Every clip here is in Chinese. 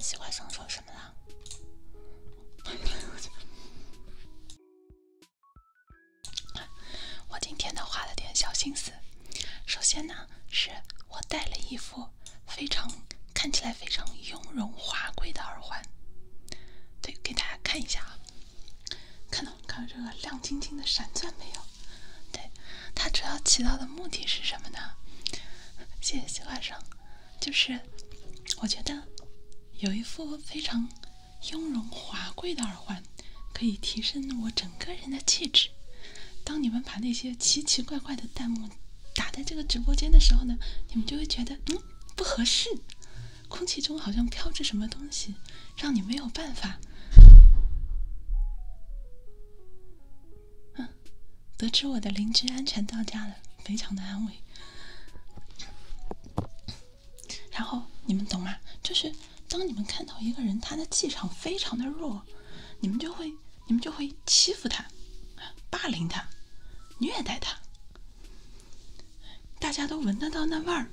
西瓜生说什么了？我今天呢花了点小心思，首先呢是我戴了一副非常看起来非常雍容华贵的耳环，对，给大家看一下啊，看到看到这个亮晶晶的闪钻没有？对，它主要起到的目的是什么呢？谢谢西瓜生，就是我觉得有一副非常。雍容华贵的耳环可以提升我整个人的气质。当你们把那些奇奇怪怪的弹幕打在这个直播间的时候呢，你们就会觉得，嗯，不合适。空气中好像飘着什么东西，让你没有办法。嗯，得知我的邻居安全到家了，非常的安慰。然后你们懂吗？就是当你们看到一个人他的气场非常的弱，你们就会你们就会欺负他，霸凌他，虐待他，大家都闻得到那味儿。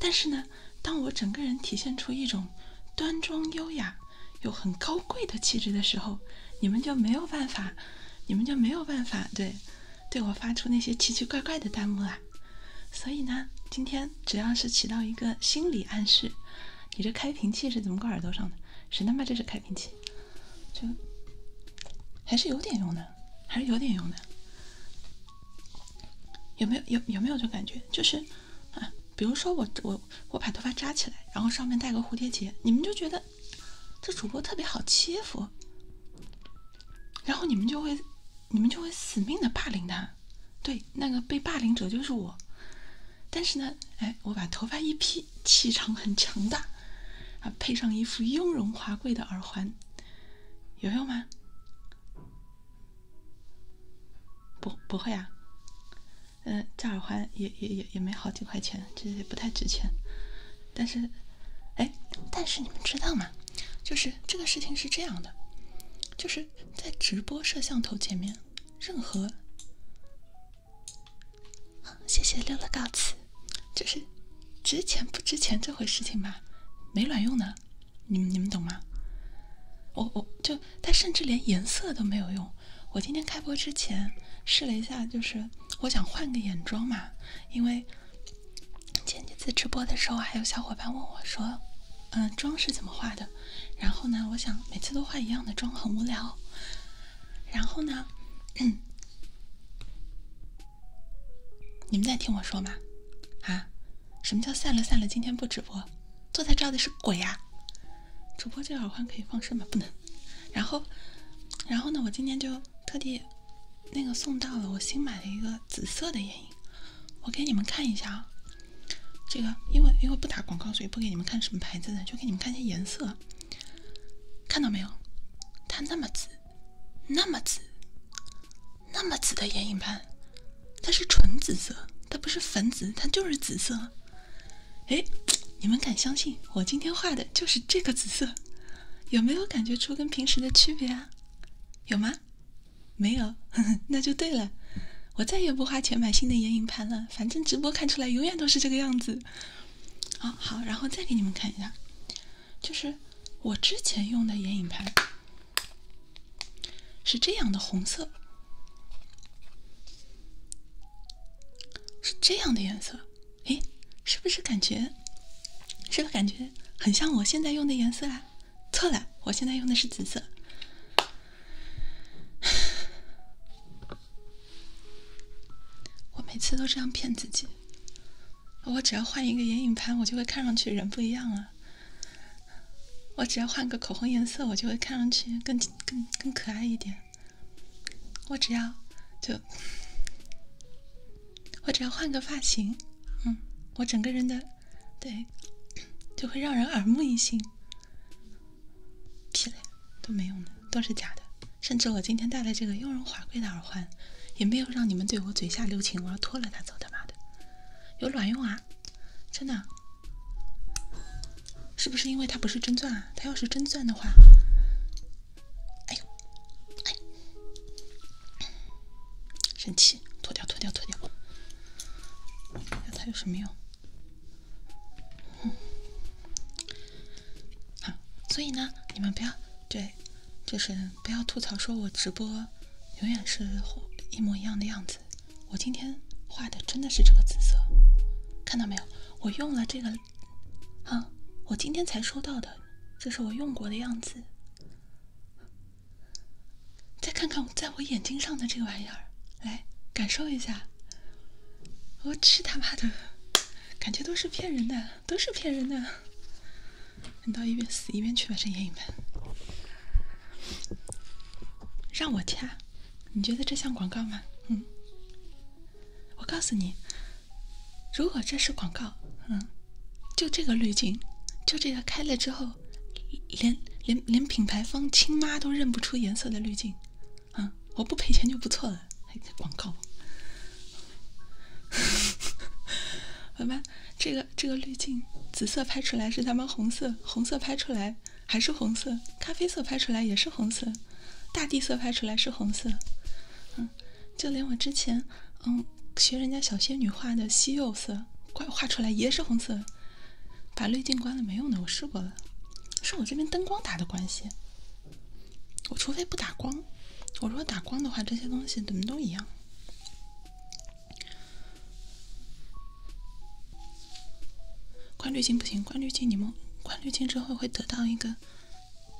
但是呢，当我整个人体现出一种端庄优雅又很高贵的气质的时候，你们就没有办法，你们就没有办法对。对我发出那些奇奇怪怪的弹幕啊，所以呢，今天主要是起到一个心理暗示。你这开瓶器是怎么挂耳朵上的？谁他妈这是开瓶器？就还是有点用的，还是有点用的。有没有有有没有这感觉？就是啊，比如说我我我把头发扎起来，然后上面戴个蝴蝶结，你们就觉得这主播特别好欺负。然后你们就会，你们就会死命的霸凌他。对，那个被霸凌者就是我。但是呢，哎，我把头发一披，气场很强大，啊，配上一副雍容华贵的耳环，有用吗？不，不会啊。嗯，这耳环也也也也没好几块钱，其实也不太值钱。但是，哎，但是你们知道吗？就是这个事情是这样的，就是在直播摄像头前面，任何，谢谢六了告辞。就是值钱不值钱这回事情吧，没卵用的，你们你们懂吗？我我就他甚至连颜色都没有用。我今天开播之前试了一下，就是我想换个眼妆嘛，因为。前几次直播的时候，还有小伙伴问我说：“嗯，妆是怎么化的？”然后呢，我想每次都化一样的妆很无聊。然后呢，你们在听我说吗？啊？什么叫散了散了？今天不直播？坐在这儿的是鬼啊？主播这耳环可以放声吗？不能。然后，然后呢？我今天就。特地那个送到了，我新买的一个紫色的眼影，我给你们看一下啊。这个因为因为不打广告，所以不给你们看什么牌子的，就给你们看些颜色。看到没有？它那么紫，那么紫，那么紫的眼影盘，它是纯紫色，它不是粉紫，它就是紫色。哎，你们敢相信我今天画的就是这个紫色？有没有感觉出跟平时的区别啊？有吗？没有，那就对了。我再也不花钱买新的眼影盘了，反正直播看出来永远都是这个样子。好，好，然后再给你们看一下，就是我之前用的眼影盘是这样的，红色是这样的颜色，哎，是不是感觉是不是感觉很像我现在用的颜色啊？错了，我现在用的是紫色。我每次都这样骗自己，我只要换一个眼影盘，我就会看上去人不一样了；我只要换个口红颜色，我就会看上去更更更可爱一点。我只要就。我只要换个发型，嗯，我整个人的，对，就会让人耳目一新。屁嘞，都没用的，都是假的。甚至我今天戴了这个雍容华贵的耳环，也没有让你们对我嘴下留情。我要脱了它走，他妈的，有卵用啊！真的，是不是因为它不是真钻啊？它要是真钻的话，哎呦，哎。神气，脱掉脱掉脱掉，看它有什么用。好，所以呢，你们不要对，就是不要吐槽说我直播永远是一模一样的样子。我今天画的真的是这个紫色，看到没有？我用了这个，啊，我今天才收到的，这是我用过的样子。再看看在我眼睛上的这个玩意儿，来感受一下。我去他妈的，感觉都是骗人的，都是骗人的。你到一边死一边去吧，这眼影盘。让我掐，你觉得这像广告吗？嗯，我告诉你，如果这是广告，嗯。就这个滤镜，就这个开了之后，连连连品牌方亲妈都认不出颜色的滤镜，啊，我不赔钱就不错了，还广告。好吧，这个这个滤镜，紫色拍出来是他们红色，红色拍出来还是红色，咖啡色拍出来也是红色，大地色拍出来是红色，嗯，就连我之前。嗯，学人家小仙女画的西柚色，快画出来也是红色。把滤镜关了没用的，我试过了，是我这边灯光打的关系。我除非不打光，我如果打光的话，这些东西怎么都一样。关滤镜不行，关滤镜你们关滤镜之后会得到一个，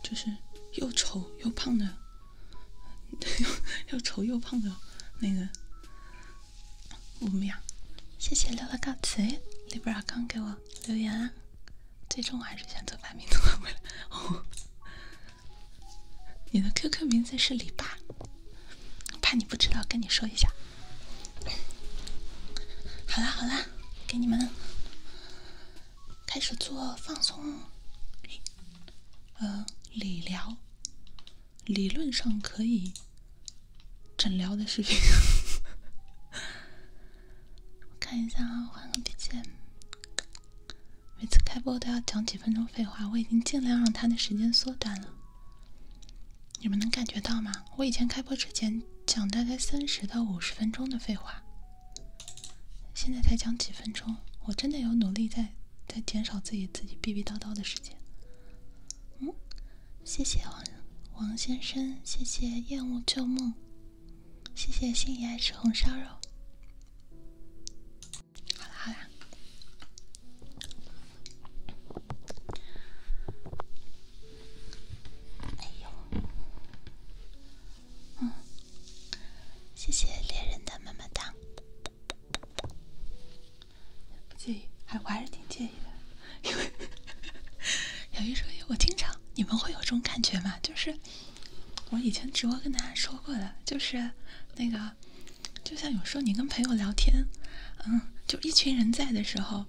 就是又丑又胖的。又又丑又胖的那个我们谢谢六乐告辞。李伯刚给我留言啊，最终我还是选择把名字换回来。哦，你的 QQ 名字是李爸，怕你不知道，跟你说一下。好啦好啦，给你们开始做放松，呃，理疗。理论上可以诊疗的视频，看一下啊，换个笔记，每次开播都要讲几分钟废话，我已经尽量让他的时间缩短了。你们能感觉到吗？我以前开播之前讲大概三十到五十分钟的废话，现在才讲几分钟，我真的有努力在。在减少自己自己逼逼叨叨的时间。嗯，谢谢王王先生，谢谢厌恶旧梦，谢谢心仪爱吃红烧肉。好了好了，哎呦，嗯，谢谢猎人的么么哒。不介意，还我还是挺介意的，因为有一说，一，我经常你们会有这种感觉嘛，就是我以前直播跟大家说过的，就是那个，就像有时候你跟朋友聊天，嗯，就一群人在的时候，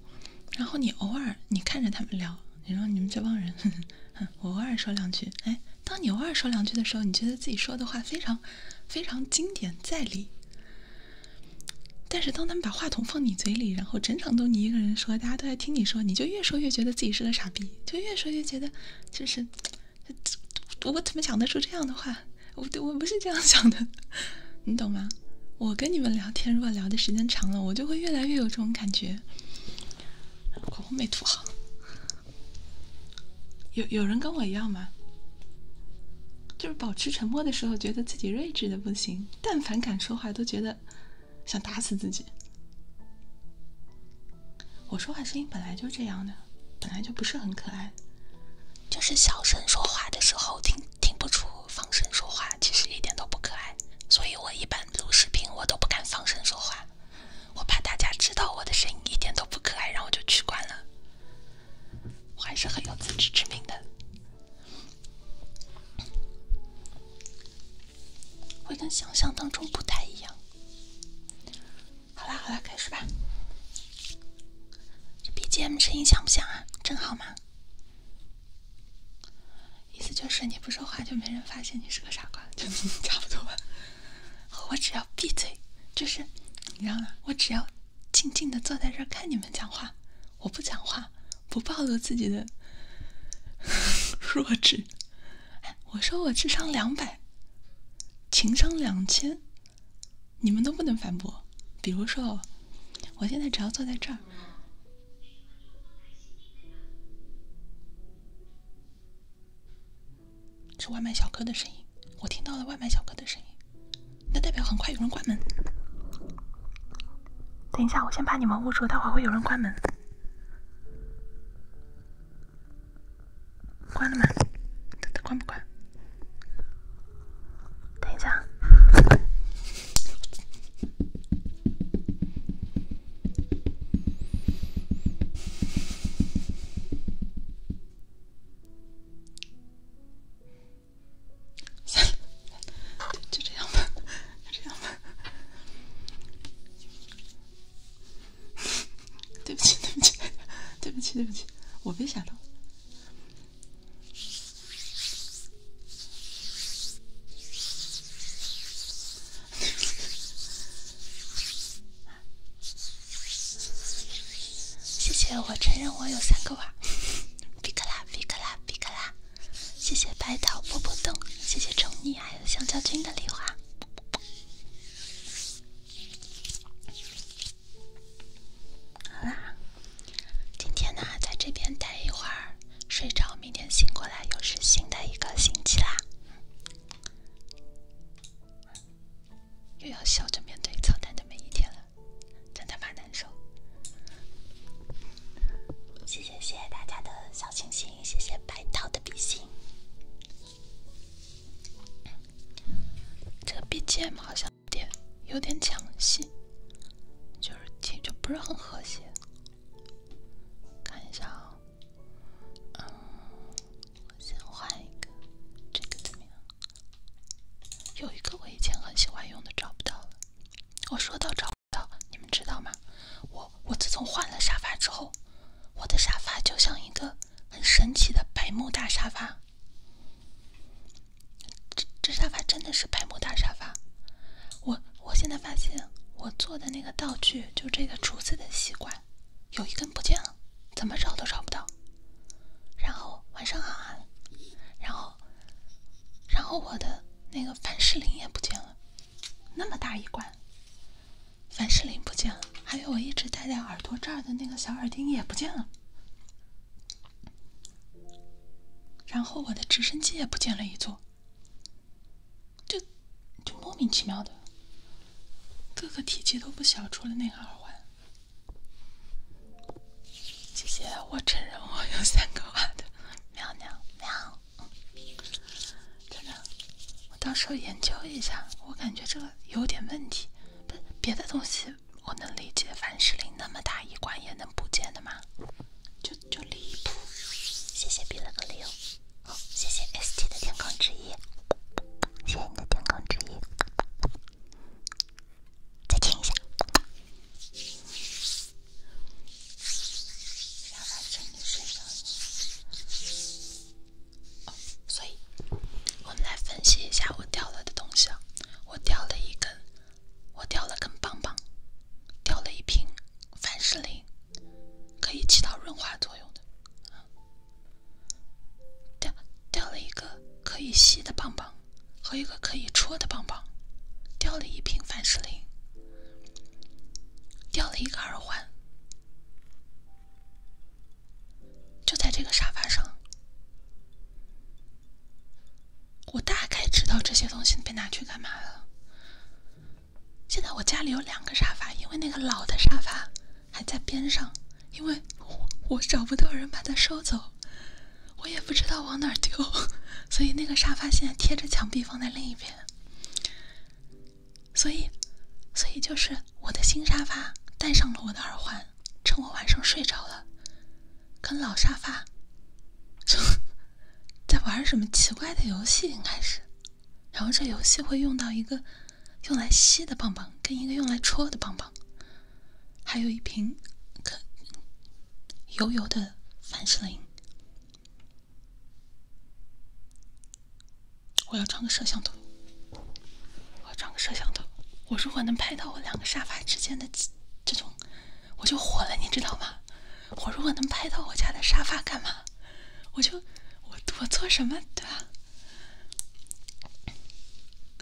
然后你偶尔你看着他们聊，你说你们这帮人 我偶尔说两句，哎，当你偶尔说两句的时候，你觉得自己说的话非常。非常经典在理，但是当他们把话筒放你嘴里，然后整场都你一个人说，大家都在听你说，你就越说越觉得自己是个傻逼，就越说越觉得就是我怎么想得出这样的话？我对我不是这样想的，你懂吗？我跟你们聊天，如果聊的时间长了，我就会越来越有这种感觉。口红没涂好。有有人跟我一样吗？就是保持沉默的时候，觉得自己睿智的不行；但凡敢说话，都觉得想打死自己。我说话声音本来就这样的，本来就不是很可爱。就是小声说话的时候，听听不出放声说话，其实一点都不可爱。所以我一般录视频，我都不敢放声说话，我怕大家知道我的声音一点都不可爱，然后就取关了。我还是很有自知之明的，会跟想象当中不太一样。好啦，好啦，开始吧。这 BGM 声音响不响啊？正好吗？意思就是你不说话，就没人发现你是个傻瓜，就 差不多吧。我只要闭嘴，就是，你知道吗？我只要静静的坐在这儿看你们讲话，我不讲话，不暴露自己的 弱智。我说我智商两百，情商两千，你们都不能反驳。比如说，我现在只要坐在这儿。是外卖小哥的声音，我听到了外卖小哥的声音，那代表很快有人关门。等一下，我先把你们捂住，待会儿会有人关门。关了吗？他他关不关？等一下。算了，就这样吧，就这样吧。对不起，对不起，对不起，对不起，我没想到。谢谢，我承认我有三个娃，比 克拉比克拉比克拉。谢谢白桃波波动，谢谢宠溺，还有香蕉君的礼花。好啦，今天呢在这边待一会儿，睡着，明天醒过来又是新的一个星期啦。又要笑着面对操蛋的每一天了，真他妈难受。谢谢谢谢大家的小心心，谢谢白桃的比心。这个 BGM 好像有点有点抢戏，就是听着不是很和谐。看一下啊，嗯，我先换一个，这个怎么样？有一个我以前很喜欢用的找不到了。我说到找不到，你们知道吗？我我自从换了沙发之后，我的沙发就像一个很神奇的白木大沙发。这这沙发真的是白木大沙发。我我现在发现我做的那个道具，就这个厨子的吸管，有一根不见了。怎么找都找不到，然后晚上好啊，然后，然后我的那个凡士林也不见了，那么大一罐，凡士林不见了，还有我一直戴在耳朵这儿的那个小耳钉也不见了，然后我的直升机也不见了一座，就，就莫名其妙的，各个体积都不小，除了那个耳环。姐姐，我承认我有三个罐的喵喵喵！真的，我到时候研究一下。我感觉这个有点问题，不是别的东西我能理解，凡士林那么大一罐也能不见的吗？就就离谱！谢谢比了个六，谢谢 ST 的天空之翼，谢谢你的天空之翼。再听一下。要完成你睡所以，我们来分析一下我掉了的东西啊。我掉了一根，我掉了根棒棒，掉了一瓶凡士林，可以起到润滑作用的。掉掉了一个可以吸的棒棒，和一个可以戳的棒棒，掉了一瓶凡士林，掉了一个耳环，就在这个沙发上。我大概知道这些东西被拿去干嘛了。现在我家里有两个沙发，因为那个老的沙发还在边上。因为，我找不到人把它收走，我也不知道往哪丢，所以那个沙发现在贴着墙壁放在另一边。所以，所以就是我的新沙发戴上了我的耳环，趁我晚上睡着了，跟老沙发，在玩什么奇怪的游戏，应该是。然后这游戏会用到一个用来吸的棒棒，跟一个用来戳的棒棒。还有一瓶可油油的凡士林。我要装个摄像头，我要装个摄像头。我如果能拍到我两个沙发之间的这种，我就火了，你知道吗？我如果能拍到我家的沙发，干嘛？我就我我做什么对吧？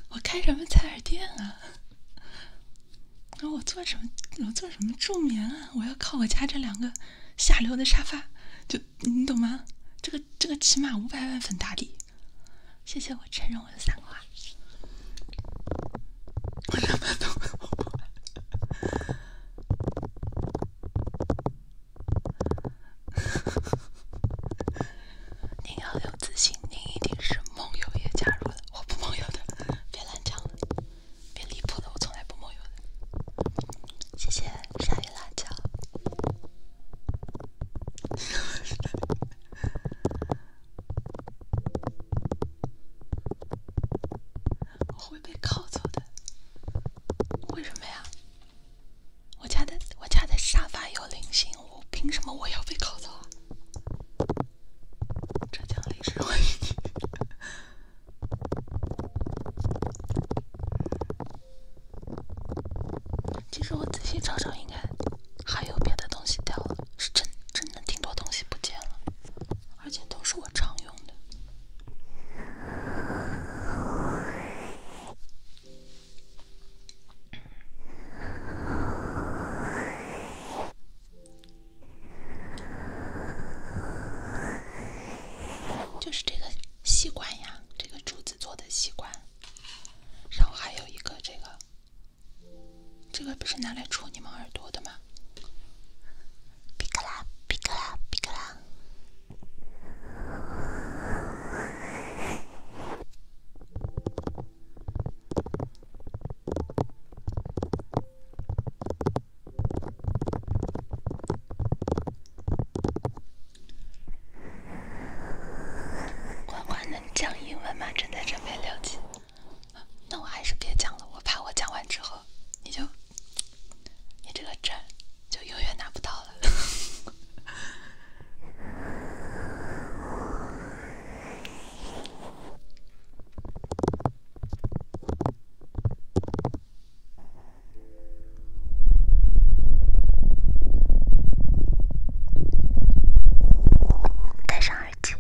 我开什么采耳店啊？那 我做什么？我做什么助眠啊？我要靠我家这两个下流的沙发，就你懂吗？这个这个起码五百万粉打底，谢谢我承认我的三花，我两把都。您要有自信，您一定是梦游也加入了。我不梦游的，别乱讲了，别离谱了，我从来不梦游的。谢谢鲨鱼辣椒，我会被靠走的，为什么呀？我家的我家的沙发有灵性。我凭什么我要被烤走啊？浙江励志美女。其实我仔细找找，应该还有别的东西掉了，是真真的挺多东西不见了，而且都是我常用的。就是这个吸管呀，这个竹子做的吸管，然后还有一个这个，这个不是拿来戳你们耳朵的吗？皮克拉，皮克拉，皮克拉。欢欢能讲英文吗？正在准备六级，那我还是别讲了，我怕我讲完之后，你就，你这个证就永远拿不到了。戴上耳机。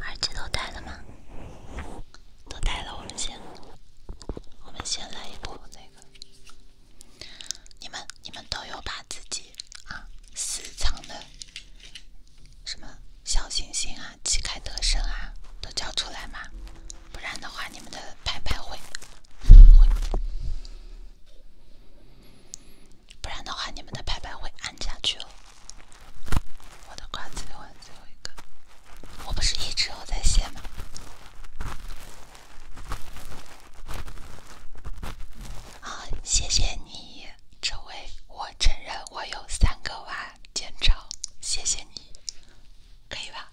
耳机都带了吗？都带了，我们先，我们先来一波这个。你们，你们都有把自己啊私藏的什么小星星啊、旗开得胜啊都交出来吗？不然的话，你们的牌牌会会，不然的话，你们的牌牌会暗下去哦。我的瓜子玩最后一个，我不是一直有在线吗？啊，谢谢你，这位，我承认我有三个娃建超，谢谢你，可以吧？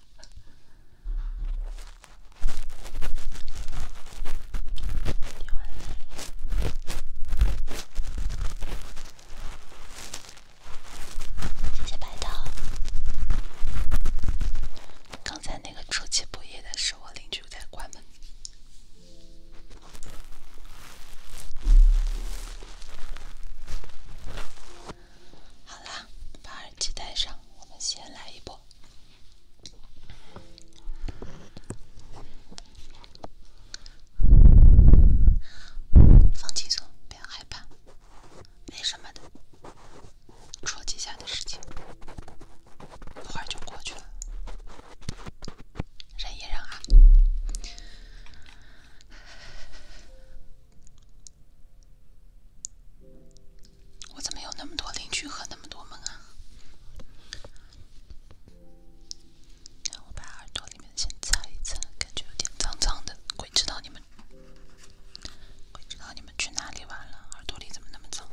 谢谢白桃。刚才那个出其不意的是我邻居在关门。好了，把耳机带上，我们先来一波。放轻松，不要害怕，没什么的，戳几下的事情，一会儿就过去了，忍一忍啊。我怎么有那么多邻居和那么多门啊？让我把耳朵里面先擦一擦，感觉有点脏脏的。鬼知道你们，鬼知道你们去哪里玩了？耳朵里怎么那么脏？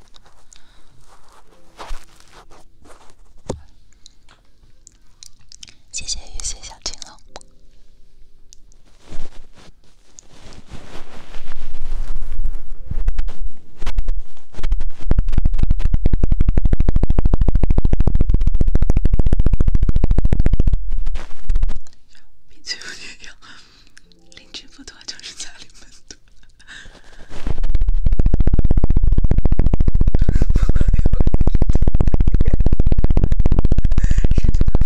谢谢玉碎小青龙。鼻子有点痒，邻居不多就是家里门多。哈哈哈哈哈！哈哈哈哈哈！哈哈哈哈哈！谢谢家里的事。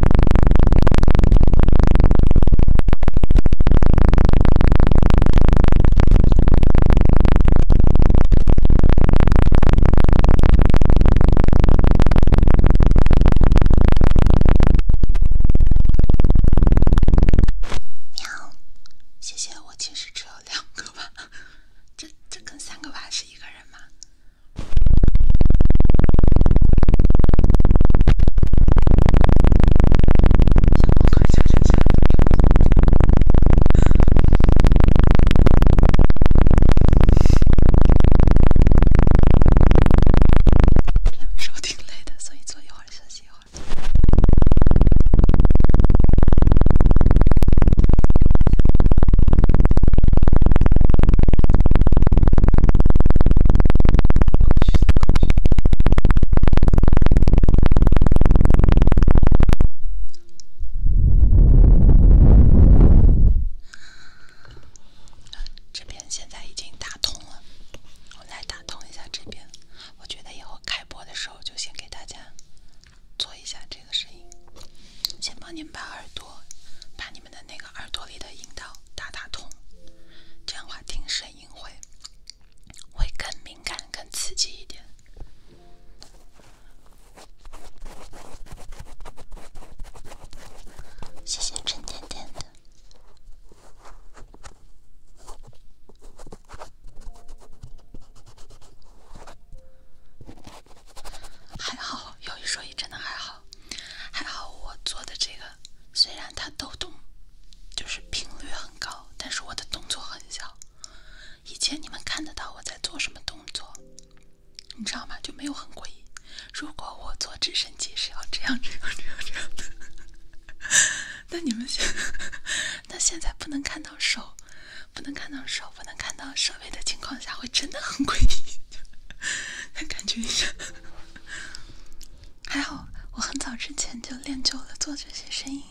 喵，谢谢。我其实只有两个娃，这这跟三个娃是一个人吗？想快点下去。两手挺累的，所以坐一会儿休息一会儿。这边现在已经打通了，我来打通一下这边。我觉得以后开播的时候，就先给大家做一下这个声音，先帮您把耳朵。你们的那个耳朵里的阴道打打通，这样的话听声音会会更敏感、更刺激一点。谢谢沉甸甸的。还好，有一说一，真的还好，还好我做的这个。虽然它抖动，就是频率很高，但是我的动作很小。以前你们看得到我在做什么动作，你知道吗？就没有很诡异。如果我坐直升机是要这样、这样、这样、这样的，那你们现 那现在不能看到手，不能看到手，不能看到设备的情况下，会真的很诡异。感觉一下。还好，我很早之前就练就了做这些声音，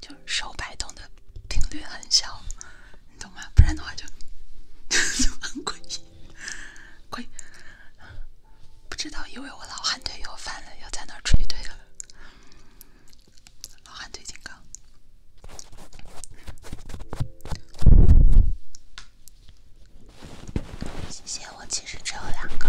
就手摆动的频率很小，你懂吗？不然的话就 就很诡异，鬼不知道，以为我老汉腿又犯了，又在那吹腿了。老汉腿警告。谢谢，我其实只有两个。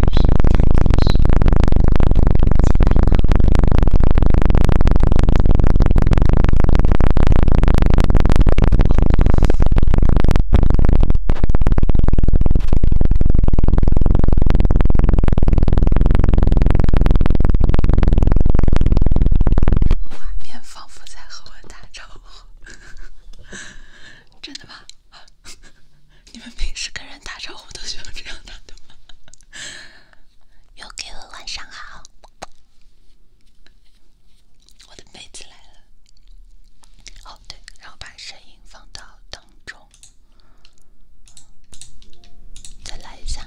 是画面仿佛在和我打招呼，真的吗？” 你们平时跟人打招呼都喜欢这样打的吗？Okay，晚上好。我的杯子来了。哦对，然后把声音放到当中，再来一下。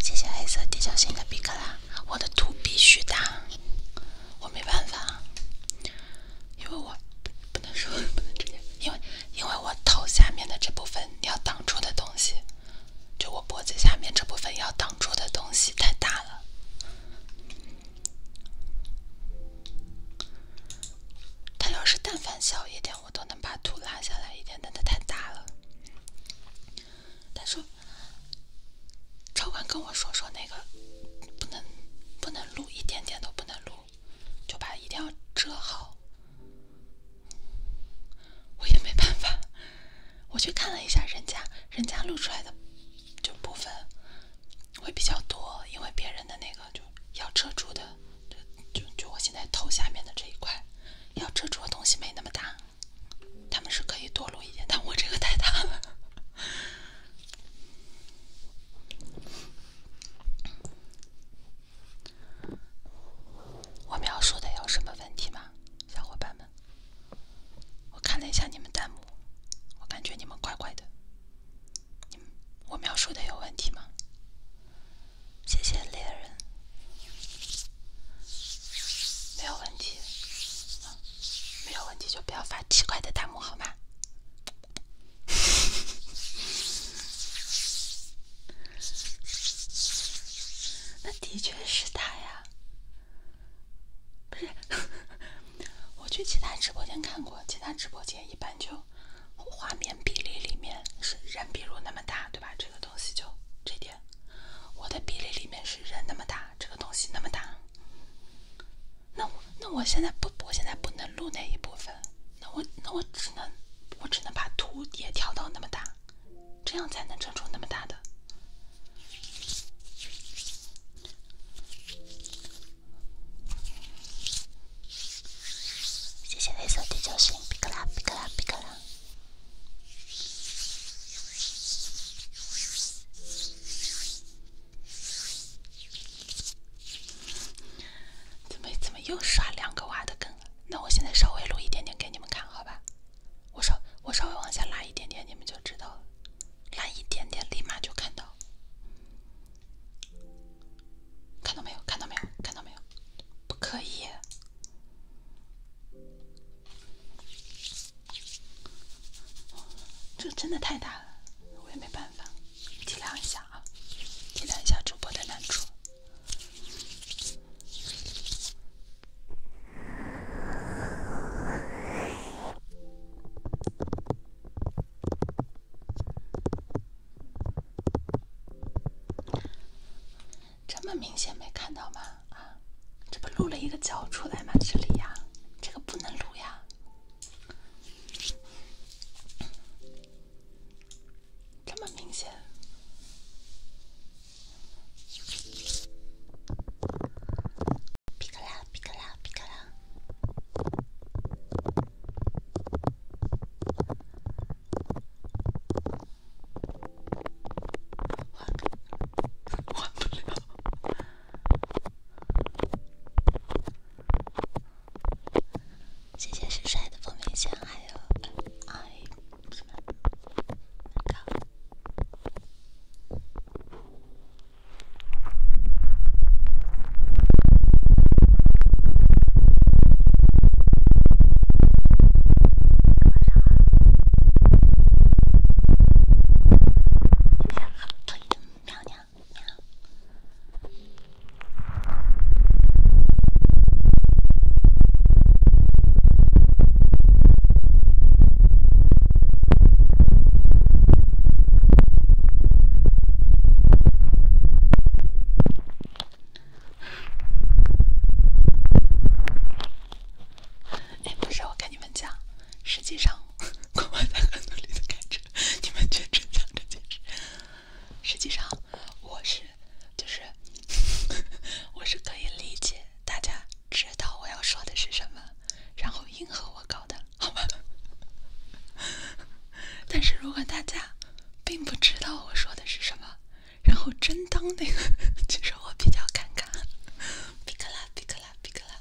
谢谢黑色地球形的比克拉，我的图必须大，我没办法。因为我不能说，不能直接，因为因为我头下面的这部分要挡住的东西，就我脖子下面这部分要挡住的东西太大了。它要是但凡小一点，我都能把图拉下来一点，但它太大了。他说，超管跟我说说那个，不能不能录，一点点都不能录。就把一定要遮好，我也没办法。我去看了一下人家，人家露出来的就部分会比较多，因为别人的那个就要遮住的，就就就我现在头下面的这一块要遮住的东西没那么大，他们是可以多露一点，但我这个太大了。我描述的有什么问题吗，小伙伴们？我看了一下你们弹幕，我感觉你们怪怪的。你，我描述的有问题吗？谢谢猎人，没有问题，没有问题就不要发奇怪的弹幕好吗？那的确是他呀，不是？我去其他直播间看过，其他直播间一般就画面比例里面是人，比如那么大，对吧？这个东西就这点，我的比例里面是人那么大，这个东西那么大。那我那我现在不我现在不能录那一部分。那我那我只能我只能把图也调到那么大，这样才能整出那么大的。谢谢黑色第九星，皮克拉，皮克拉，皮克拉。怎么怎么又刷两个娃的梗？那我现在稍微录一点点给你们看，好吧？我稍我稍微往下拉一点点，你们就知道了。拉一点点，立马就看到，看到没有？看到没有？看到没有？不可以！这真的太大了，我也没办法，体谅一下。啊，体谅一下主播的难处。这么明显没看到吗？啊，这不录了一个角出来吗？这里呀，这个不能录呀。这么明显！皮卡丘，皮卡丘，皮卡丘，谢谢帅帅的蜂蜜香，还有爱一三高。晚上好，谢谢的哎，不是，我跟你们讲，实际上，我们在很努力的开车，你们却只想着件事。实际上，我是，就是，我是可以理解大家知道我要说的是什么，然后应和我搞的，好吧？但是如果大家并不知道我说的是什么，然后真当那个，其实我比较尴尬，比克拉，比克拉，比克拉，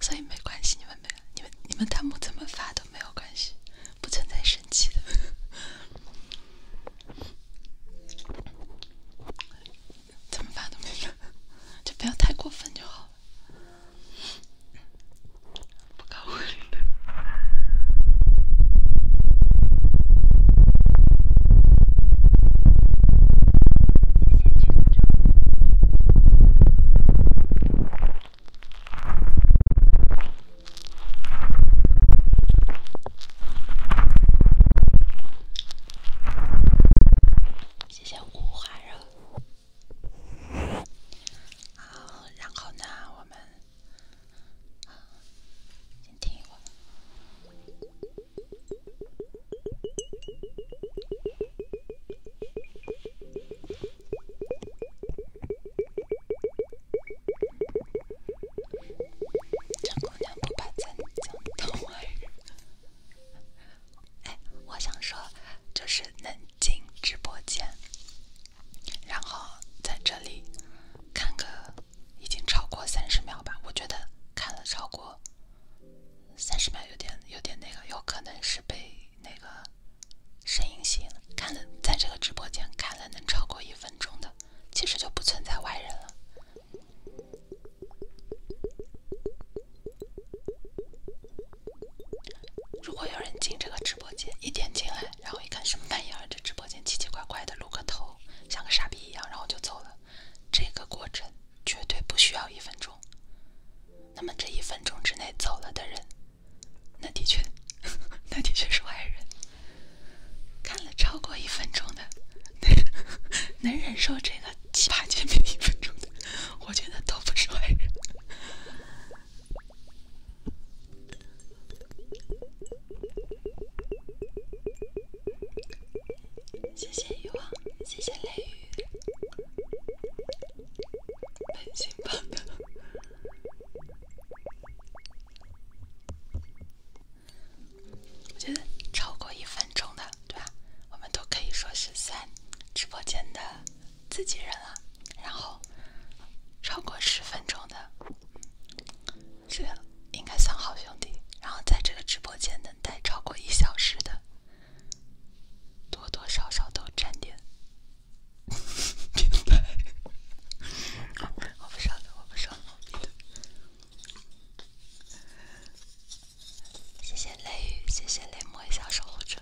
所以没关系，你们没，你们你们弹幕怎么发都没有关系。不存在生气的，怎么办都没有，就不要太过分就好了。不搞我礼的，也先去谢谢胡海热。好，然后呢，我们先听一会儿。陈姑娘不把咱当外人。哎，我想说，就是能进直播间，然后在这里看个已经超过三十秒吧，我觉得看了超过三十秒有点有点那个，有可能是被。那个声音吸引了，看了在这个直播间看了能超过一分钟的，其实就不存在外人了。如果有人进这个直播间，一点进来，然后一看什么玩意儿，这直播间奇奇怪怪的，露个头，像个傻逼一样，然后就走了，这个过程绝对不需要一分钟。那么这一分钟之内走了的人。那的确，那的确是坏人。看了超过一分钟的，能忍受这个七八千面一分钟的，我觉得都不是坏人。谢谢欲望，谢谢雷雨，本心放的。我觉得超过一分钟的，对吧？我们都可以说是在直播间的自己人了。然后超过十分钟的，这应该算好兄弟。然后在这个直播间能待超过一小时的，多多少少都沾点。变白。我不上了，我不上了。谢谢雷雨，谢谢雷默小守护者。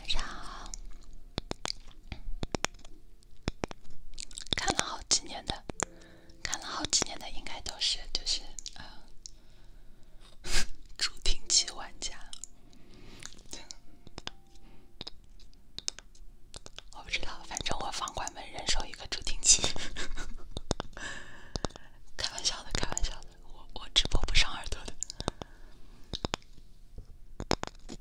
晚上好。看了好几年的，看了好几年的，应该都是就是呃，助听器玩家。我不知道，反正我房管们人手一个助听器。开玩笑的，开玩笑的，我我直播不伤耳朵的。不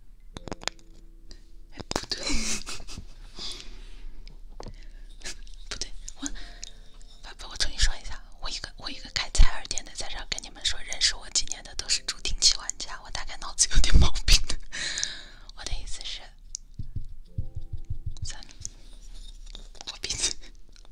对，不对，我不不，我重新说一下，我一个我一个开采耳店的，在这跟你们说，认识我几年的都是助听器玩家，我大概脑子有点毛病的。我的意思是，咱我鼻子。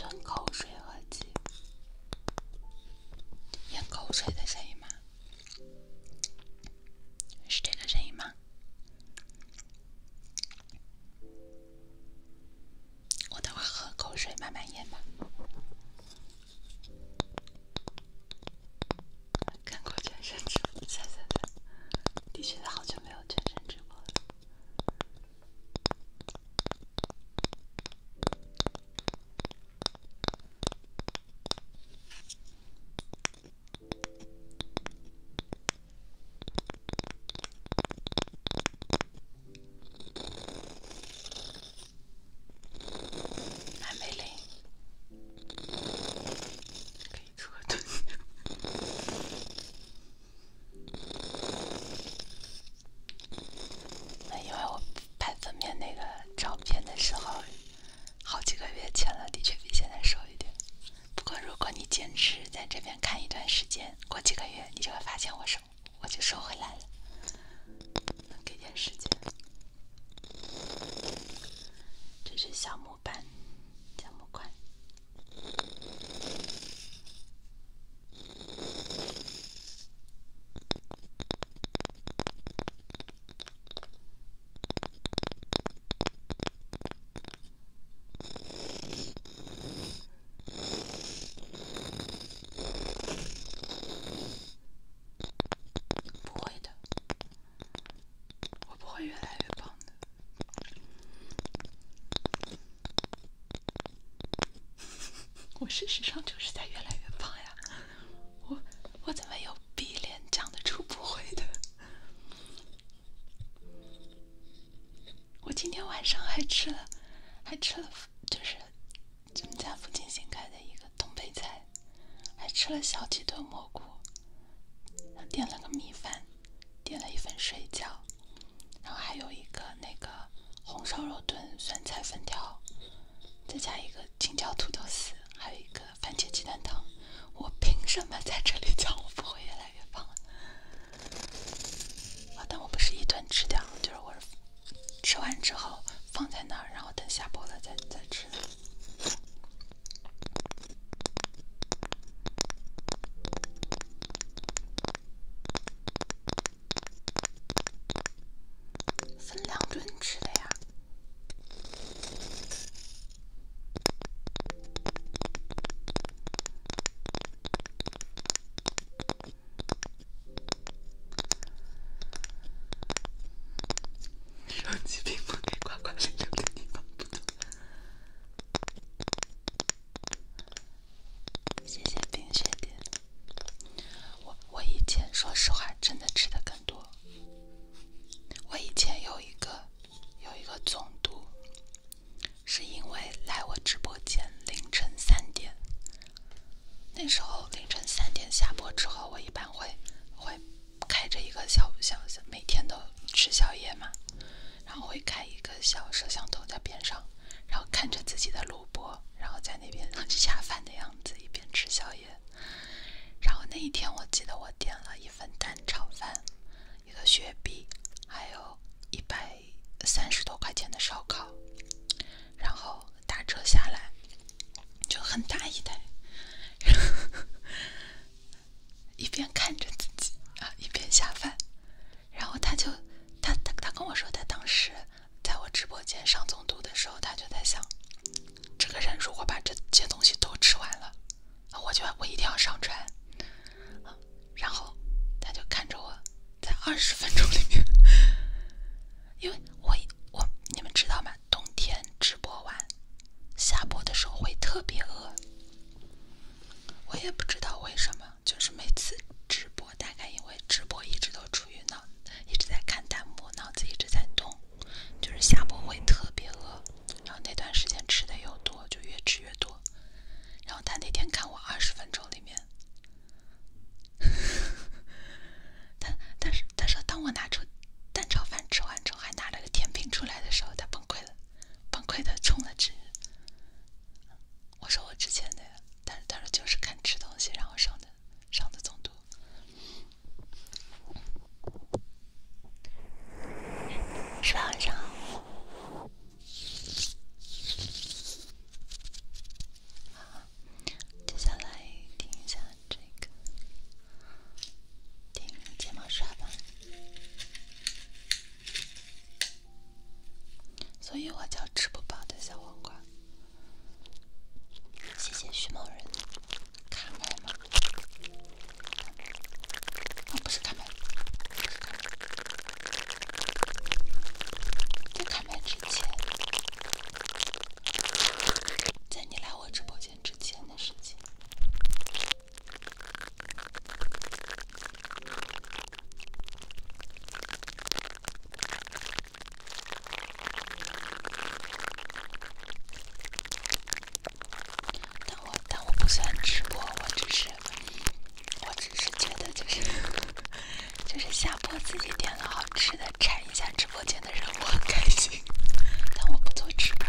吞口水合集，咽口水的声音吗？是这个声音吗？我等会喝口水，慢慢咽吧。看过全身直播，擦擦擦！的确，好久没有全身直播了。还没累。因为我拍分娩那个照片的时候，好几个月前了，的确比现在瘦一点。不过如果你坚持在这边看一段时间，过几个月你就会发现我瘦，我就收回来了。给点时间？这是小木。木板，加木块，不会的。我不会越来越棒的。我事实上就是在越来越胖呀。我我怎么有鼻脸长得出不会的？我今天晚上还吃了，还吃了，就是咱们家附近新开的一个东北菜。还吃了小鸡炖蘑菇，点了个米饭，点了一份水饺，然后还有一个那个红烧肉炖酸菜粉条，再加一个青椒土豆丝，还有一个番茄鸡蛋汤。我凭什么在这里讲？我不会越来越胖？啊？但我不是一顿吃掉，就是我吃完之后放在那儿，然后等下播了再再吃。分两顿吃的呀。手机屏幕里呱呱溜溜的地方不多。谢谢冰雪点。我我以前说实话真的吃的更多。我以前有一个有一个中毒，是因为来我直播间凌晨三点。那时候凌晨三点下播之后，我一般会会。开着一个小小小，每天都吃宵夜嘛，然后会开一个小摄像头在边上，然后看着自己的录播，然后在那边下饭的样子，一边吃宵夜。然后那一天，我记得我点了一份蛋炒饭，一个雪碧，还有一百三十多块钱的烧烤，然后打折下来就很大一袋。一边看着自己啊，一边下饭。然后他就，他他他跟我说，他当时在我直播间上总督的时候，他就在想，这个人如果把这些东西都吃完了，我就我一定要上船。然后他就看着我在二十分钟里面，因为我我你们知道吗？冬天直播完。下播的时候会特别饿，我也不知道为什么，就是每次直播，大概因为直播一直都处于脑一直在看弹幕，脑子一直在动，就是下播会特别饿，然后那段时间吃的又多，就越吃越多。然后他那天看我二十分钟里面，他但是他说，当我拿出蛋炒饭吃完之后，还拿了个甜品出来的时候，他崩溃了。崩溃的充了值。我说我之前的，他他说就是看吃东西，然后上的上的中毒。十八晚上好，接下来听一下这个，听睫毛刷吧。所以，我叫吃不饱的小黄瓜。谢谢徐某人。开麦吗？那不是开麦，在开麦之前，在你来我直播间之前的事情，但我但我不算直播，我只是我只是觉得就是 就是下播自己点了好吃的，馋一下直播间的人，我很开心。但我不做直播。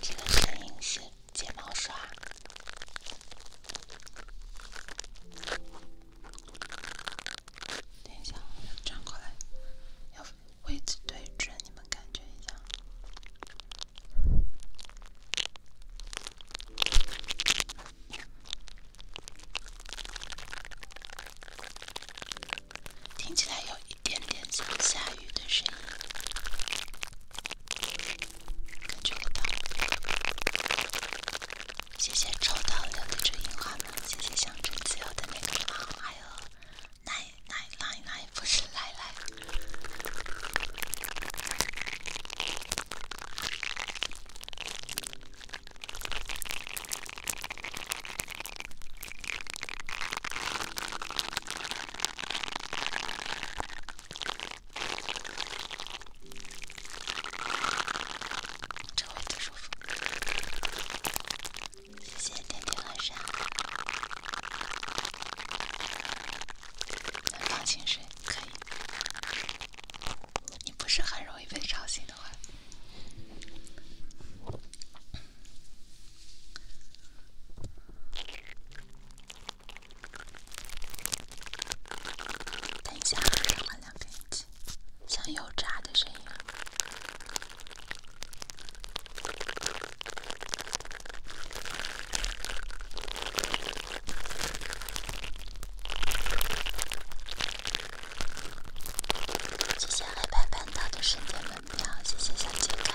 这个声音是睫毛刷。等一下，要转过来，要位置对准，你们感觉一下。听起来有一点点像下雨的声音，跟着我跑。谢谢抽到留得住樱花的，谢谢象征自由的那个账还有奶奶奶奶不是奶奶。特不舒服，谢谢点点和放心睡。可以，你不是很容易被吵醒的话，等一下换两根耳机，像油炸的声音啊。实现黑白半岛的瞬间门票，谢谢小金卡。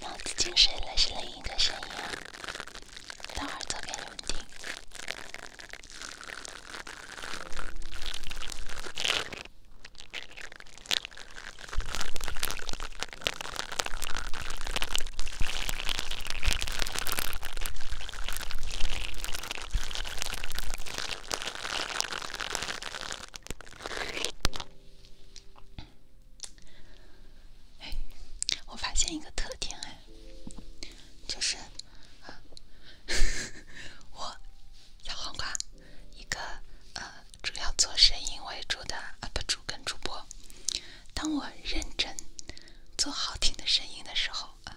脑子进水了，是另一个声音啊！等会儿给你们听。哎，我发现一个特点哎，就是，我小黄瓜，一个呃主要做生意为主的 UP 主跟主播，当我认真做好听的声音的时候啊，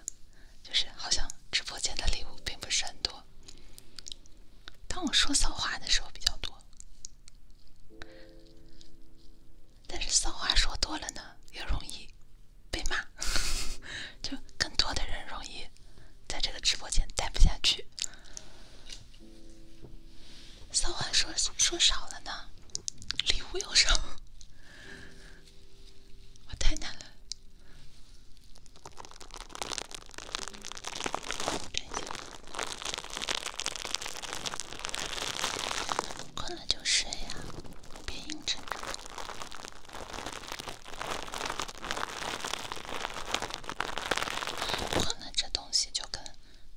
就是好像直播间的礼物并不是很多。当我说骚话的时候比较多，但是骚话说多了呢，也容易被骂，就更多的人容易在这个直播间待不下去。骚话说说少了呢，礼物又少，我太难了。困了就睡呀，别硬撑。着。困了这东西就跟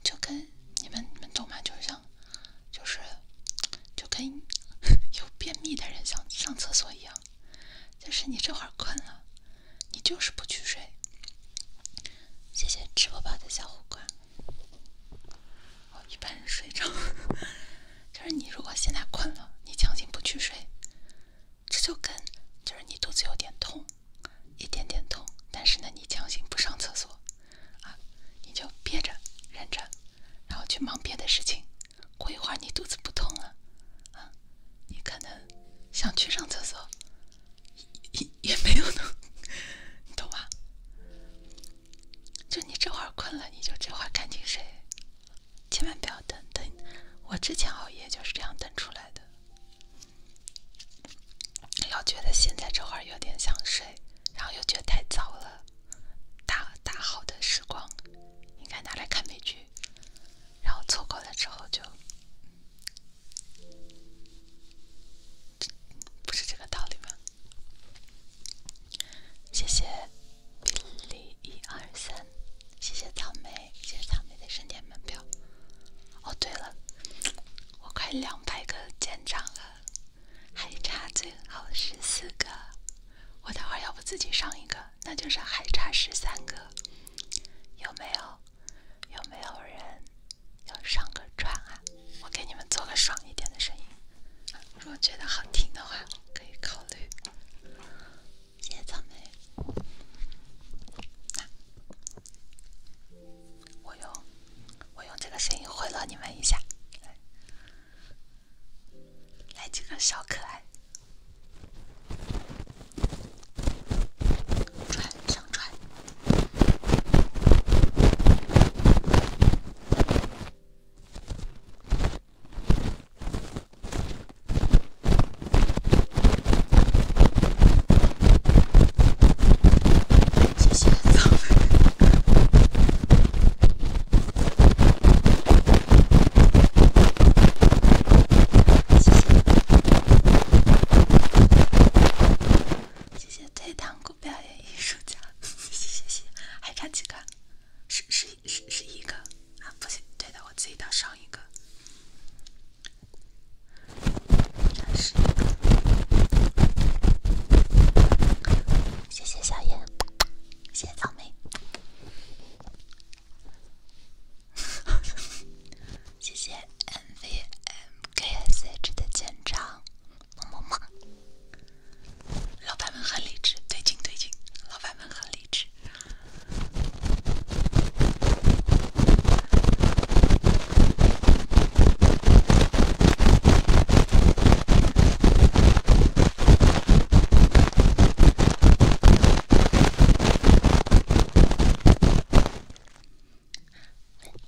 就跟你们你们懂吗？就像就是就跟有便秘的人想上厕所一样。就是你这会儿困了，你就是不去睡。谢谢吃不饱的小虎瓜。我一般人睡着。就是你如果现在困了，你强行不去睡，这就跟就是你肚子有点痛，一点点痛，但是呢你强行不上厕所啊，你就憋着忍着，然后去忙别的事情。过一会儿你肚子不痛了啊。你可能想去上厕所，也也没有呢，你懂吧？就你这会儿困了，你就这会儿赶紧睡，千万不要等等。我之前熬夜就是这样等出来的。要觉得现在这会儿有点想睡，然后又觉得太早了，大大好的时光应该拿来看美剧，然后错过了之后就。不是这个道理吗？谢谢比利一谢谢草莓，谢谢草莓的盛典门票。哦，对了，我快两百个签章了，还差最后十四个。我待会要不自己上一个，那就是还差十三个，有没有？有没有人要上个船啊？我给你们做个爽一点的声音。如果觉得好听的话，可以考虑。谢谢草莓。我用我用这个声音贿赂你们一下，来几个小可爱。传上传。谢谢。谢谢退堂鼓表演艺术家，谢谢，谢谢，还差几个？十十十十一个啊，不行，对的，我自己到上一个，十一个。谢谢小燕，谢谢草莓。谢谢 mvmksh 的签唱，么么么。老板们很理智，对劲对劲，老板们很理智。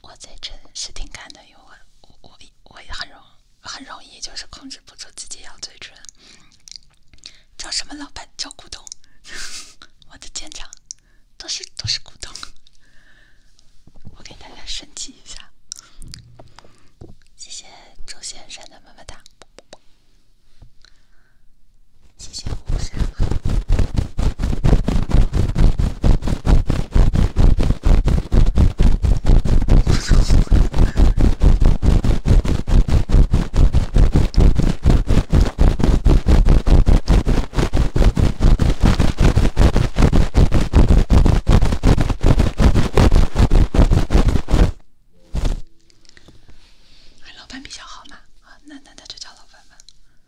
我嘴唇是挺干的，因为我我我也很容很容易就是控制不住自己咬嘴唇。叫什么老板？叫股东。我的舰长，都是都是股东。我给大家升级一下。谢谢周先生的么么哒。谢谢黄山。老板比较好嘛？那那那就叫老板吧。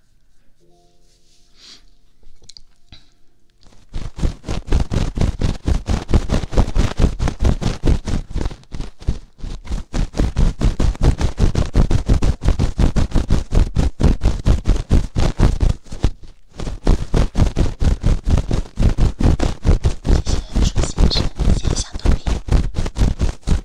谢谢舒先生，先想通一点。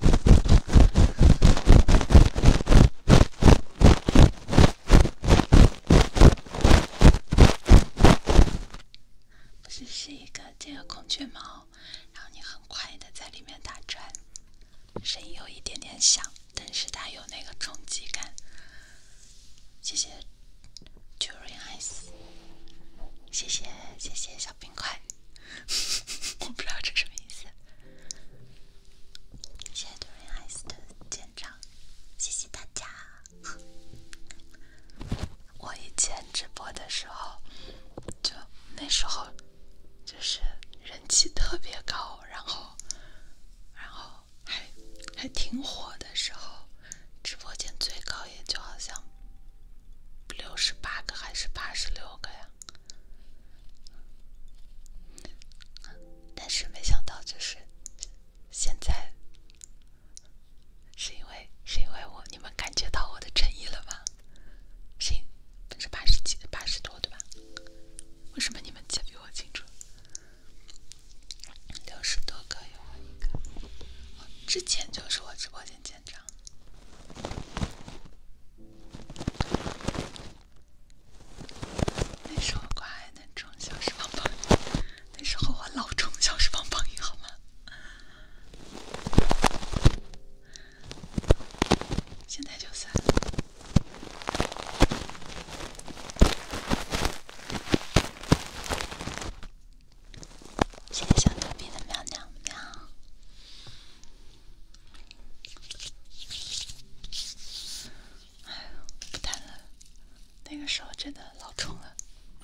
不是是一个，这个孔雀毛，然后你很快的在里面打转，声音有一点点小，但是它有那个冲击感。谢谢 j u r i c e 谢谢谢谢小冰块。我不知道这什么意思。谢谢 Dorian 杜明海 s 的见证，谢谢大家。我以前直播的时候，就那时候就是人气特别高，然后然后还还挺火的时候，直播间最高也就好像六十八个还是八十六个呀？但是没想到，就是现在是因为是因为我，你们感觉到我的诚意了吗？是百分之八十几、八十多，对吧？为什么你们记得比我清楚？六十多个，有一个，之前就是我直播间建账。那时候乖，还能充小石棒棒。那时候我老冲小石棒棒，音，好吗？现在就算。谢谢小逗逼的喵喵喵。哎，不谈了。那个时候真的老冲了，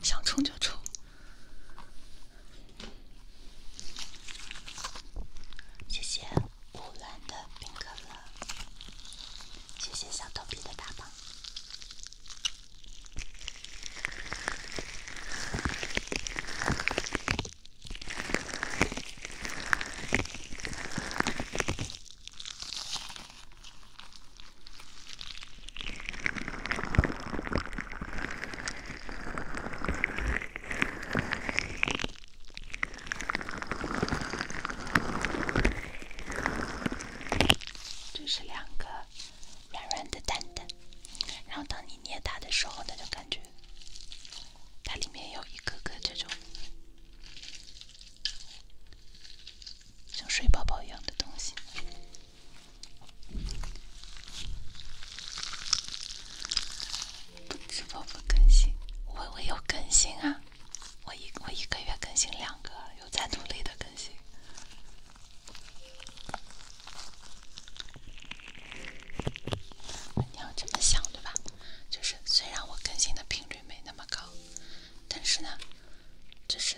想冲就冲。谢谢五蓝的冰可乐，谢谢小头皮的大棒。这是两个软软的蛋蛋，然后当你捏它的时候，它就感觉。它里面有一个个这种像水宝宝一样的东西。不知道不更新，我我有更新啊，我一我一个月更新两个，又在努力的更新。你要这么想对吧？就是虽然我更新的频率没那么高，但是呢，就是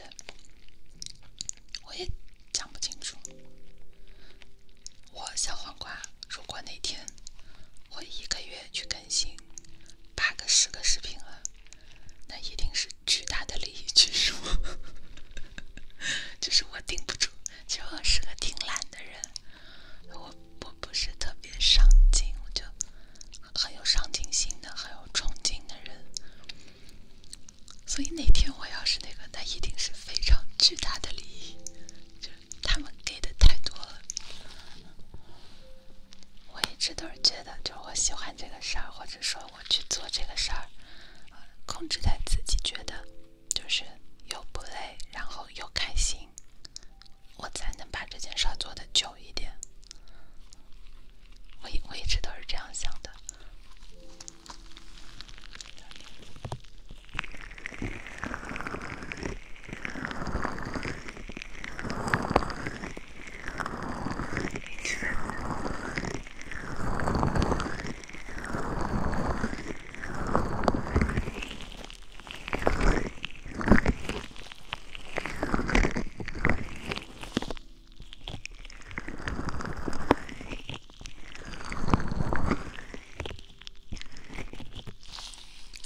我也讲不清楚。我小黄瓜，如果哪天我一个月去更新八个、十个视频了，那一定是巨大的利益。其实 就是我顶不住。其实我是个挺懒的人，我。我不是特别上进，我就很有上进心的，很有冲劲的人。所以那天我要是那个，那一定是非常巨大的利益，就他们给的太多了。我一直都是觉得，就是我喜欢这个事儿，或者说我去做这个事儿，控制在自己觉得。就是又不累，然后又开心，我才能把这件事做的久一点。我一我一直都是这样想的。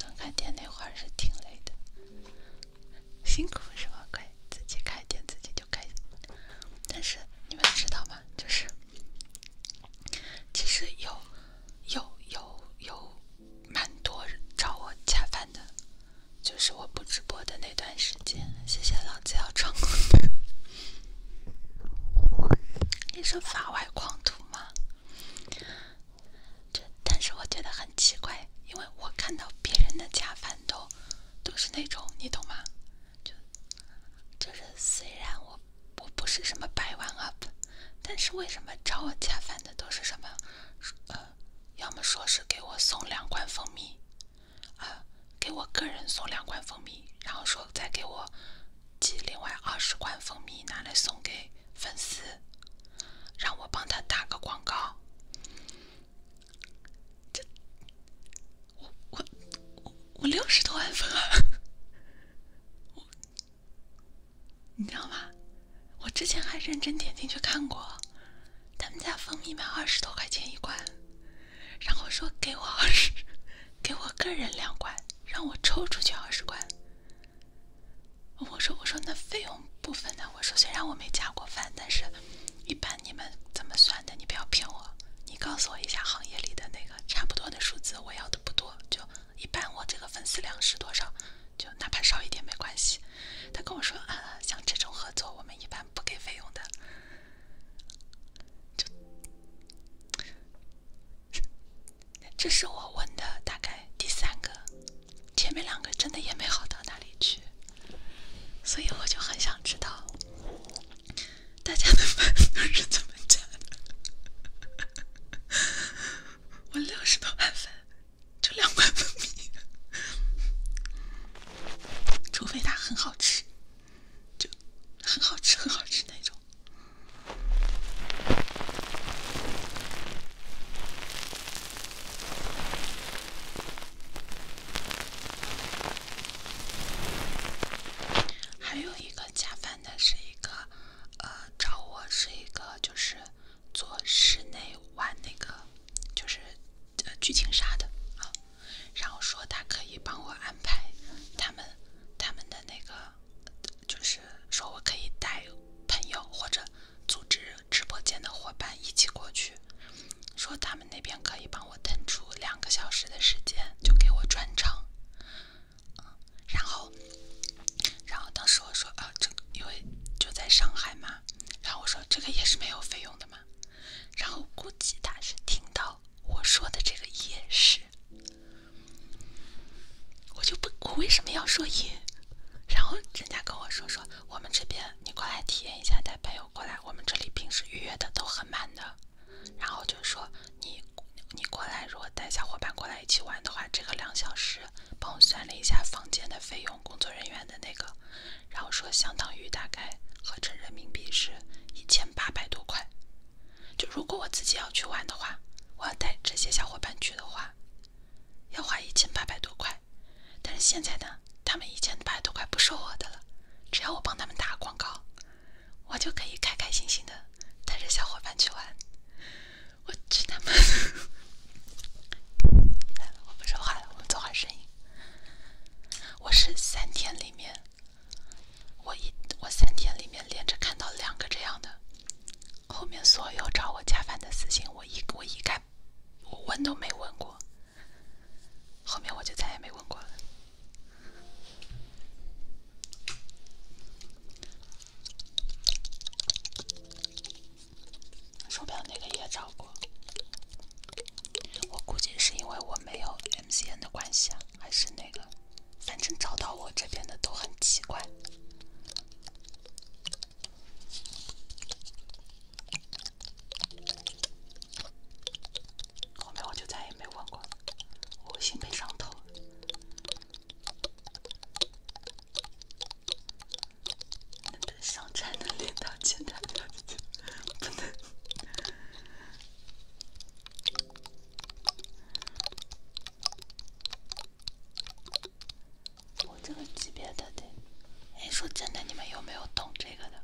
刚开店那会儿是挺累的，辛苦是吧？可以自己开店，自己就开。但是你们知道吗？就是其实有。有有有，蛮多找我恰饭的，就是我不直播的那段时间。谢谢老子要成功，你是法外狂徒吗？就，但是我觉得很奇怪，因为我看到别人的恰饭都都是那种，你懂吗？就就是虽然我。我不是什么百万 UP，但是为什么找我恰饭的都是什么？呃，要么说是给我送两罐蜂蜜，呃，给我个人送两罐蜂蜜，然后说再给我寄另外二十罐蜂蜜拿来送给粉丝，让我帮他打个广告。这，我我我我六十多万粉啊！我。你知道吗？我之前还认真点进去看过，他们家蜂蜜卖二十多块钱一罐，然后说给我二十，给我个人两罐，让我抽出去二十罐。我说我说那费用部分呢？我说虽然我没加过饭，但是一般你们怎么算的？你不要骗我，你告诉我一下行业里的那个差不多的数字，我要的不多就。一般我这个粉丝量是多少？就哪怕少一点没关系。他跟我说啊，像这种合作，我们一般不给费用的。就这是我问的，大概第三个，前面两个真的也没好到哪里去。所以我就很想知道，大家的粉 丝是怎么加的？我六十多万粉，就两万粉蜜，除非它很好吃，就很好吃很好吃那种。还有一个加饭的是一个。呃，找我是一个就是做室内玩那个就是呃剧情杀的啊，然后说他可以帮我安排他们他们的那个，就是说我可以带朋友或者组织直播间的伙伴一起过去，说他们那边可以帮我腾出两个小时的时间，就给我专场。然后，然后当时我说啊，这因为就在上海嘛，然后我说这个也是没有费用的嘛，然后估计他是听到我说的这个也是。我就不，我为什么要说也？然后人家跟我说说，我们这边你过来体验一下，带朋友过来，我们这里平时预约的都很满的，然后就说你你过来，如果带小伙伴过来一起玩的话，这个两小时。帮我算了一下房间的费用，工作人员的那个，然后说相当于大概合成人民币是一千八百多块。就如果我自己要去玩的话，我要带这些小伙伴去的话，要花一千八百多块。但是现在呢，他们一千八百多块不是我的了，只要我帮他们打广告，我就可以开开心心的带着小伙伴去玩。我去他妈！的，我不说话了，我们做好声音。我是三天里面，我一我三天里面连着看到两个这样的。后面所有找我加饭的私信，我一我一概我问都没问过。后面我就再也没问过了。手表那个也找过，我估计是因为我没有 M C N 的关系，啊，还是那个，反正找到我这边的都很奇怪。后面我就再也没问过了，我心被伤透了。能上菜能练到现在，不能。我这个级别的得，哎，说真的，你们有没有懂这个的？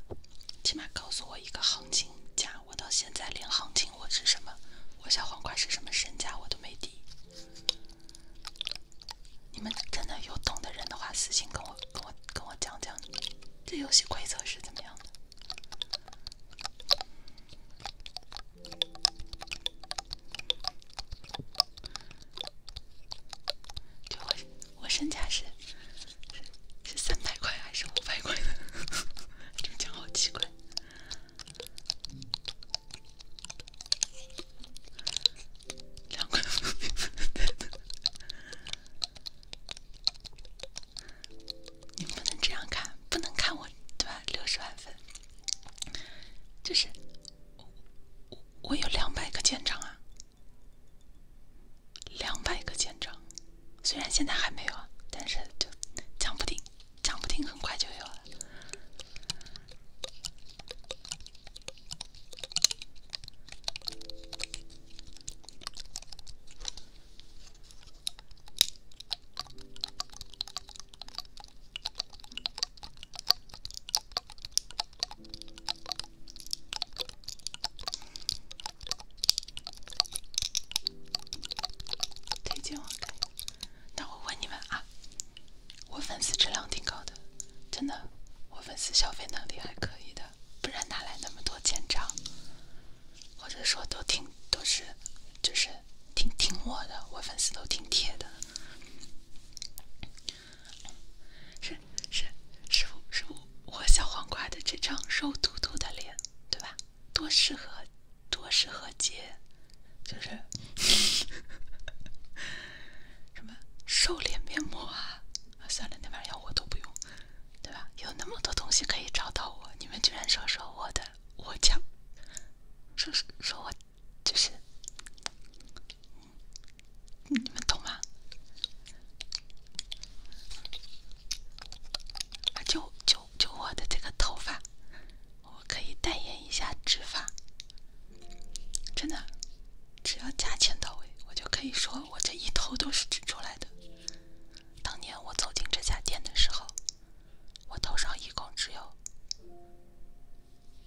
起码告诉我一个行情价。我到现在连行情我是什么，我小黄瓜是什么身价我都没底。你们真的有懂的人的话，私信跟我、跟我、跟我讲讲，这游戏规则是怎么样的？就我，我身价是是三百块还是五百块的？这讲好奇怪。两块粉，你不能这样看，不能看我对吧？六十万分就是我有两百个舰长啊，两百个舰长。虽然现在还没有啊，但是就讲不定，讲不定很快就有了。推荐我开。那我问你们啊，我粉丝质量挺高的，真的，我粉丝消费能力还可以的，不然哪来那么多欠账？或者说都挺都是就是挺挺我的，我粉丝都挺铁的。是是师傅师傅，我小黄瓜的这张肉嘟嘟的脸，对吧？多适合多适合接。就是什么瘦脸面膜啊？算了，那玩意儿我都不用，对吧？有那么多东西可以找到我，你们居然说说我的，我讲，说说我，就是，你们懂吗？就就就我的这个头发。我可以代言一下植发，真的，只要价钱到位，我就可以说我这一头都是植出来的。当年我走进这家店的时候，我头上一共只有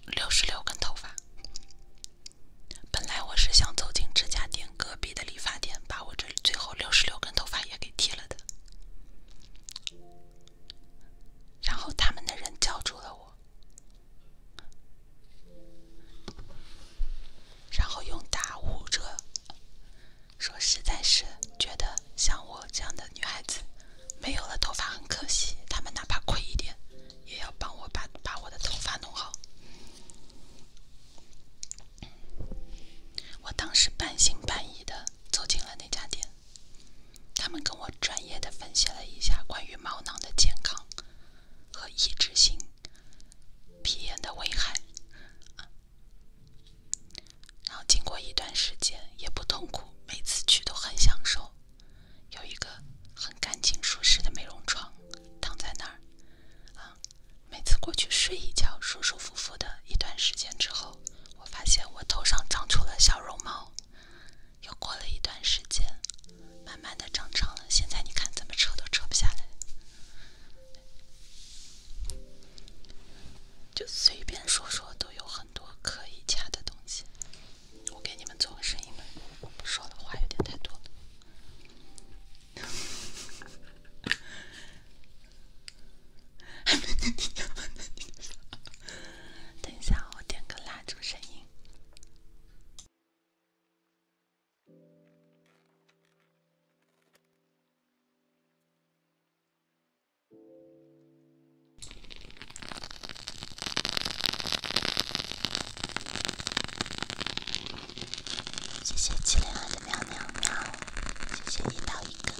六十六根头发。本来我是想走进这家店隔壁的理发店，把我这最后六十六根头发也给剃了的，然后他们的人叫住了我。然后用打五着，说实在是觉得像我这样的女孩子，没有了头发很可惜，她们哪怕亏一点，也要帮我把把我的头发弄好。我当时半信半疑的走进了那家店。他们跟我专业的分析了一下关于毛囊的健康和抑制性皮炎的危害，然后经过一段时间也不痛苦，每次去都很享受，有一个很干净舒适的美容床，躺在那儿，啊，每次过去睡一觉，舒舒服服的一段时间之后，我发现我头上长出了小绒毛。又过了一段时间，慢慢的长长了。现在你看怎么扯都扯不下来，就随便说说都有很多可以掐的东西。我给你们做个声音吧，我不说了话有点太多了。等一下，我点个蜡烛声音。谢谢七零二的喵喵喵，谢谢你到一个。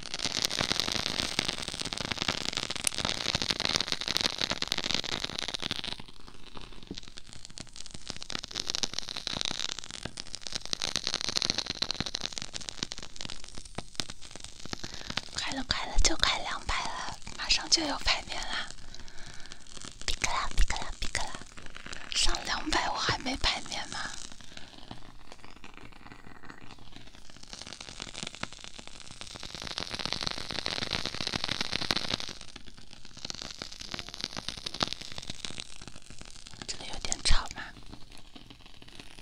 快了快了，就快两百了，马上就有排面了。克啦克啦克啦！上两百我还没排面吗？这个有点吵吗？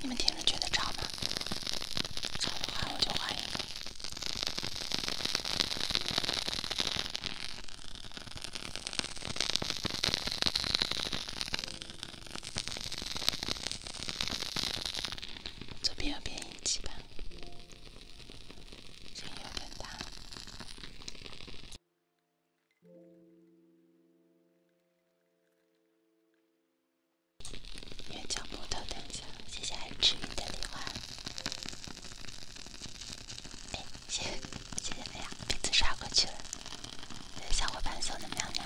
你们听着觉得吵吗？吵的话我就换一个。左边右边一起吧，声音有点大。原浆木头，等一下，谢谢爱吃鱼的礼花。哎，谢，谢谢哎呀，名字刷过去了，有小伙伴送的喵喵。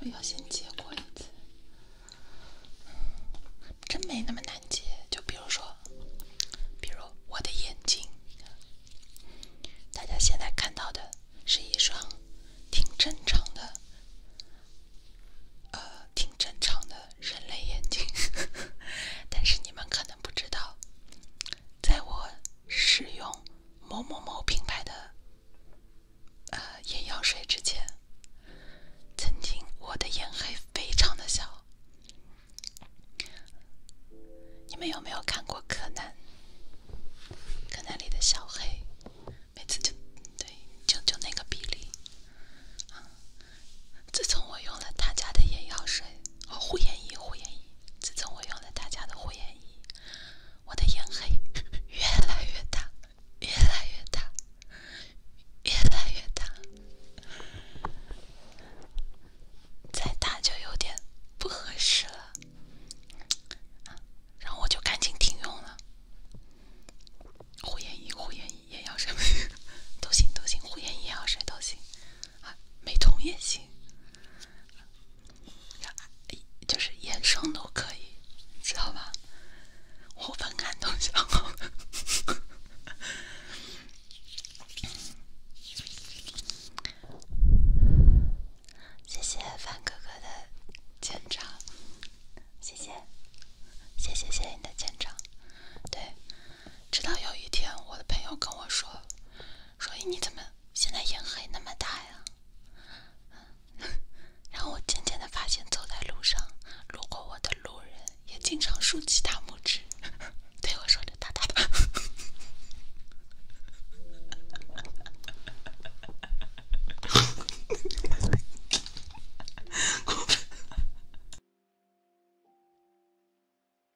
我要先接过一次，真没那么难接。就比如说，比如我的眼睛，大家现在看到的是一双挺正常的，呃，挺正常的。人类眼睛，但是你们可能不知道，在我使用某某某品牌的呃眼药水之前，曾经我的眼黑非常的小。你们有没有看过《柯南》？《柯南》里的小黑，每次就对，就就那个比例啊。自从我用了他家的眼药水哦，护眼仪护眼仪。自从我用了他家的护眼仪，我的眼黑越来越大，越来越大，越来越大。再大就有点不合适了，然后我就赶紧停用了。护眼仪护眼仪眼药水都行都行，护眼仪眼药水都行。啊，美瞳也行，就是眼霜都可以，知道吧？我分感动，想好。谢谢范哥哥的签到，谢谢，谢谢谢你的签到，对。直到有一天，我的朋友跟我说：“说你你怎么现在眼黑那么大呀？”然后我渐渐的发现，走在路上，路过我的路人也经常竖起大拇指，对我说着“大大的”。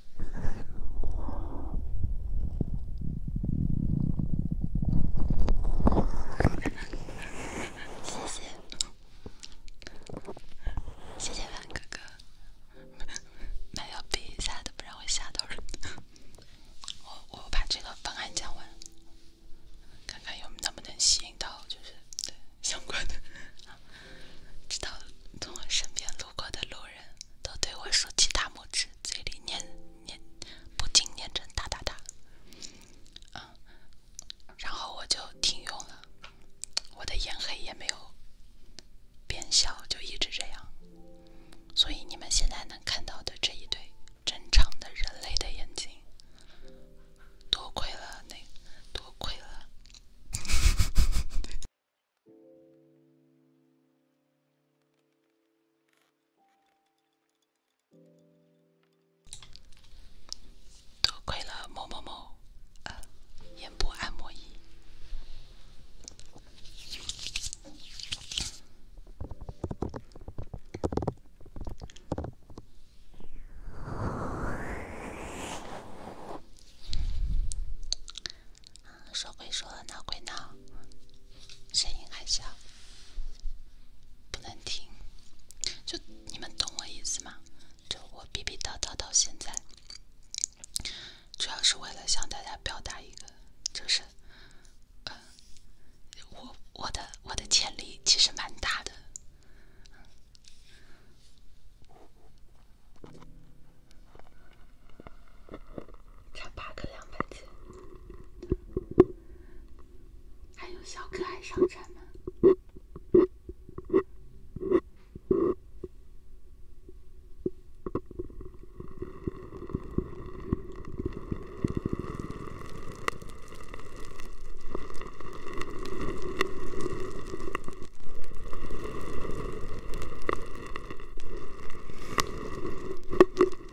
谢谢，谢谢万哥哥，麦要闭一下，都不让我吓到人。我我把这个方案讲完，看看有能不能吸引到就是相关的，知道从我身边路过的路人。人都对我竖起大拇指，嘴里念念，不停念着哒哒哒，啊，然后我就停用了，我的眼黑也没有变小，就一直这样。所以你们现在能看到的这一对正常的人类的眼睛，多亏了那，多亏了。多亏了某某某，眼部按摩仪。说归说，闹归闹，声音还小，不能听。就你们懂我意思吗？就我逼逼叨叨到现在，主要是为了向大家表达一个，就是，呃，我我的我的潜力其实蛮大的。差八个两百斤，还有小可爱上场呢。再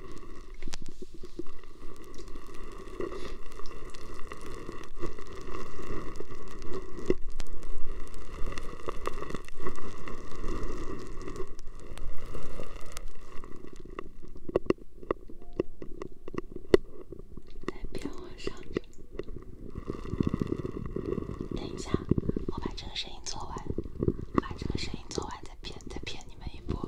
变往上，等一下，我把这个声音做完，把这个声音做完再。骗，再骗你们一波。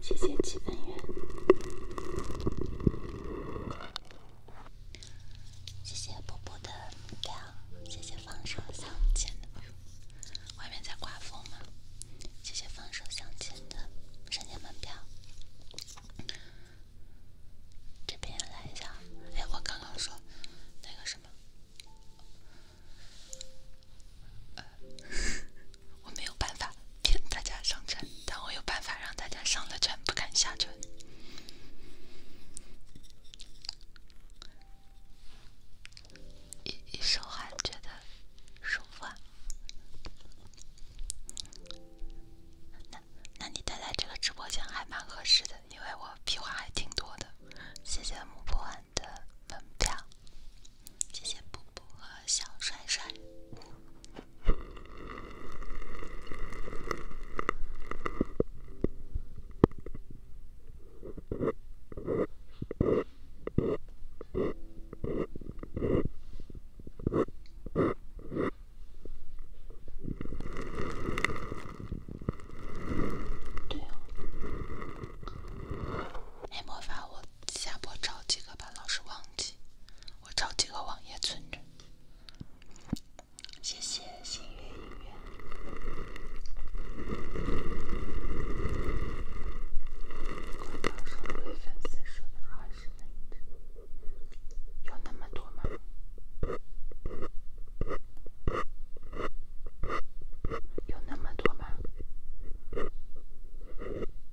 谢谢七分圆，谢谢波波的亮，票，谢谢放手向前的，外面在刮风吗？谢谢放手向前的山间门票，这边来一下。哎，我刚刚说那个什么。我没有办法骗大家上称，但我有办法让大家上了称不敢下称。一一手汗觉得舒服啊？那那你待在这个直播间还蛮合适的，因为我屁话还挺多的。谢谢木不完的门票。谢谢布布和小帅帅。对呀，还我。下播找几个吧，老是忘记。我找几个网页存着。谢谢星月音乐。对粉丝说的有那么多吗？有那么多吗？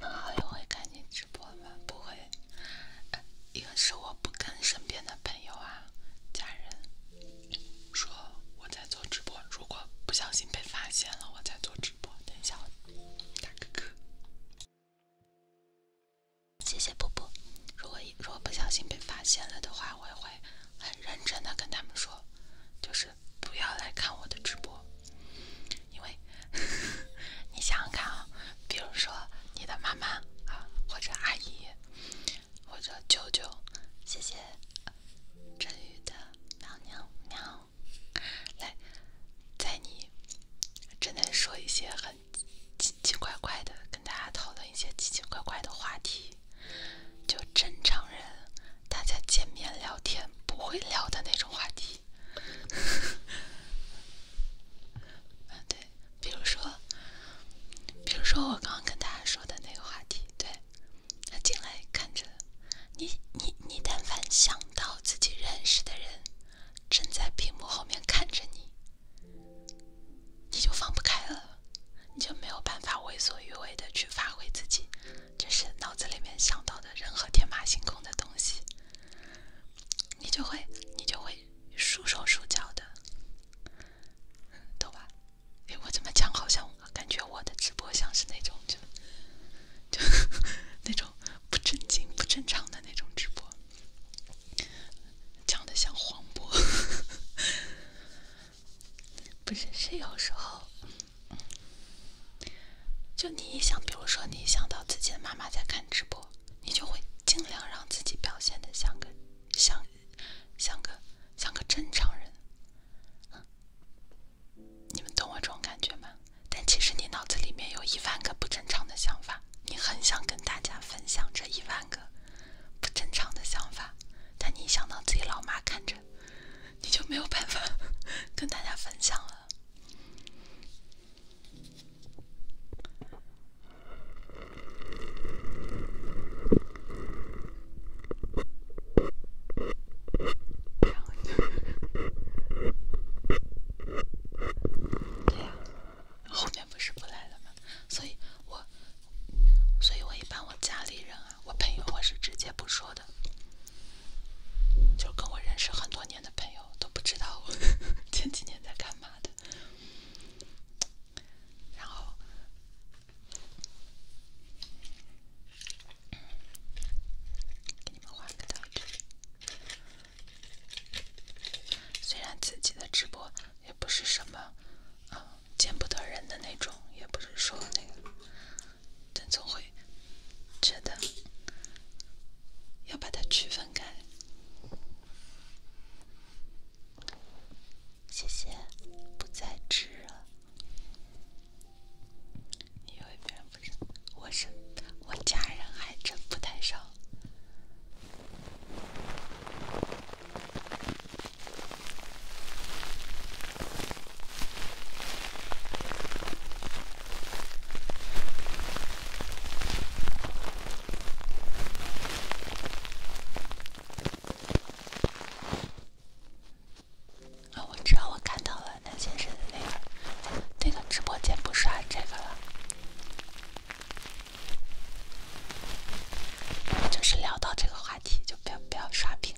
好友会看直播吗？不会，一个是我不跟身边的朋友啊、家人说我在做直播，如果不小心被发现了我在做直播，等一下，谢谢波波。如果如果不小心被发现了的话，我会。很认真的跟他们说，就是不要来看我的直播，因为 你想想看啊，比如说你的妈妈啊，或者阿姨，或者舅舅。谢谢真宇的喵喵喵。来，在你正在说一些很奇奇怪怪的，跟大家讨论一些奇奇怪怪的话题。就正常人，大家见面聊天不会聊的那种话题。对，比如说，比如说我刚刚跟大家说的那个话题，对。他进来看着你，你你，但凡想到自己认识的人正在屏幕后面看着你。你就放不开了，你就没有办法为所欲为的去发挥自己，就是脑子里面想到的任何天马行空的东西，你就会你就会束手束脚的，懂吧？哎，我怎么讲？好像感觉我的直播像是那种就就那种不正经、不正常的那种直播，讲的像黄渤。不是，是有时候，就你一想，比如说你想到自己的妈妈在看直播，你就会尽量让自己表现的像个像像个像个正常人。你们懂我这种感觉吗？但其实你脑子里面有一万个不正常的想法，你很想跟大家分享这一万个。不正常的想法，但你一想到自己老妈看着，你就没有办法 跟大家分享了。对呀，后面不是不来了吗？所以，我。所以，我一般我家里人啊，我朋友我是直接不说的，就跟我认识很多年的朋友都不知道我 前几年在干嘛的。然后，给你们换个道具。虽然自己的直播也不是什么见不得人的那种，也不是说那个，但总会觉得要把它区分开。谢谢，不再吃了、因为别人不道，我是我家人还真不太少。啊，我知道，我看到了南先生那个，那个直播间不刷这个了，就是聊到这个话题，就不要不要刷屏。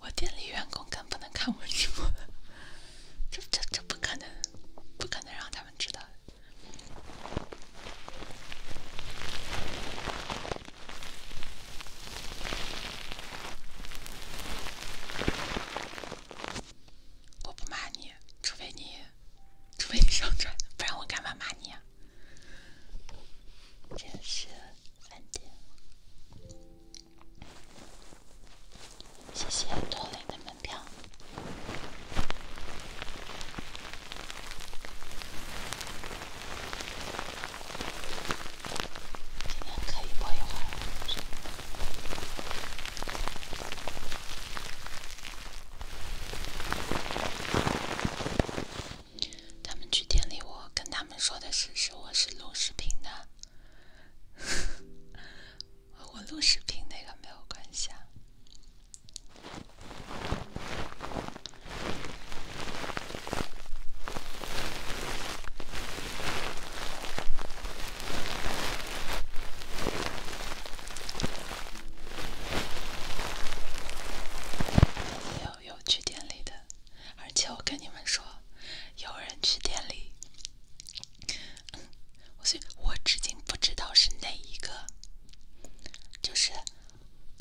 我店里员工更不能看我直播，这这这不可能，不可能让他们知道我不骂你，除非你，除非你上传，不然我干嘛骂你？这是饭店。谢谢多林的门票。今天可以播一会儿，他们去店里，我跟他们说的是，是我是录视频的。我录视频那个没有关系啊，有有去店里的，而且我跟你们说，有人去店里。我所以，我至今不知道是哪一个，就是，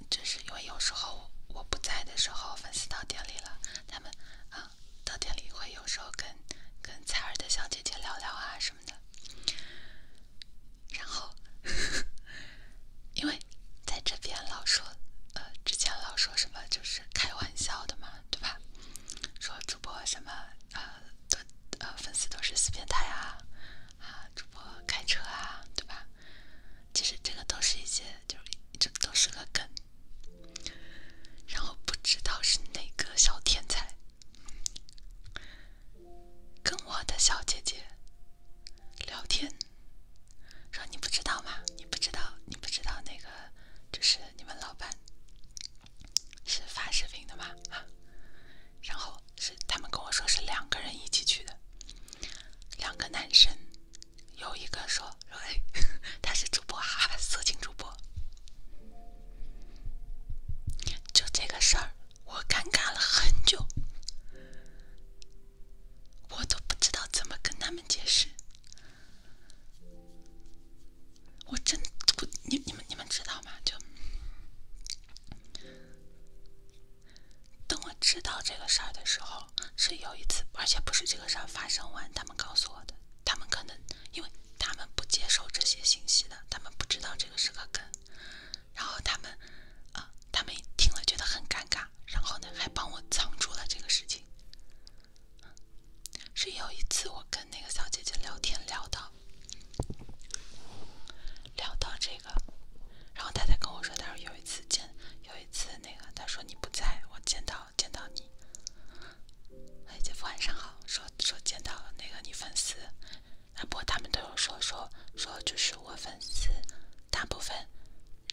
就是因为有时候我不在的时候，粉丝到店里了，他们啊，到店里会有时候跟跟采儿的小姐姐聊聊啊什么的，然后，因为在这边老说，呃，之前老说什么就是开玩笑的嘛，对吧？说主播什么呃都呃粉丝都是死变态啊啊主播开车啊对吧？其实这个都是一些就是就都是个梗。然后不知道是哪个小天才，跟我的小姐姐聊天，说你不知道吗？你不知道你不知道那个就是。你们老板是发视频的吗？啊，然后是他们跟我说是两个人一起去的，两个男生，有一个说说哎，他是主播啊，色情主播，就这个事儿，我尴尬了很久，我都不知道怎么跟他们解释。我真不，你你们你们知道吗？就等我知道这个事儿的时候，是有一次，而且不是这个事儿发生完，他们告诉我的。他们可能因为他们不接受这些信息的，他们不知道这个是个梗，然后他们啊，他们听了觉得很尴尬，然后呢，还帮我藏住了这个事情。是有一次我跟那个小姐姐聊天，聊到聊到这个，然后她才跟我说，她说有一次见，有一次那个她说你不在，我见到见到你，哎，姐夫晚上好，说说见到那个你粉丝，啊，不过他们都有说说说，就是我粉丝大部分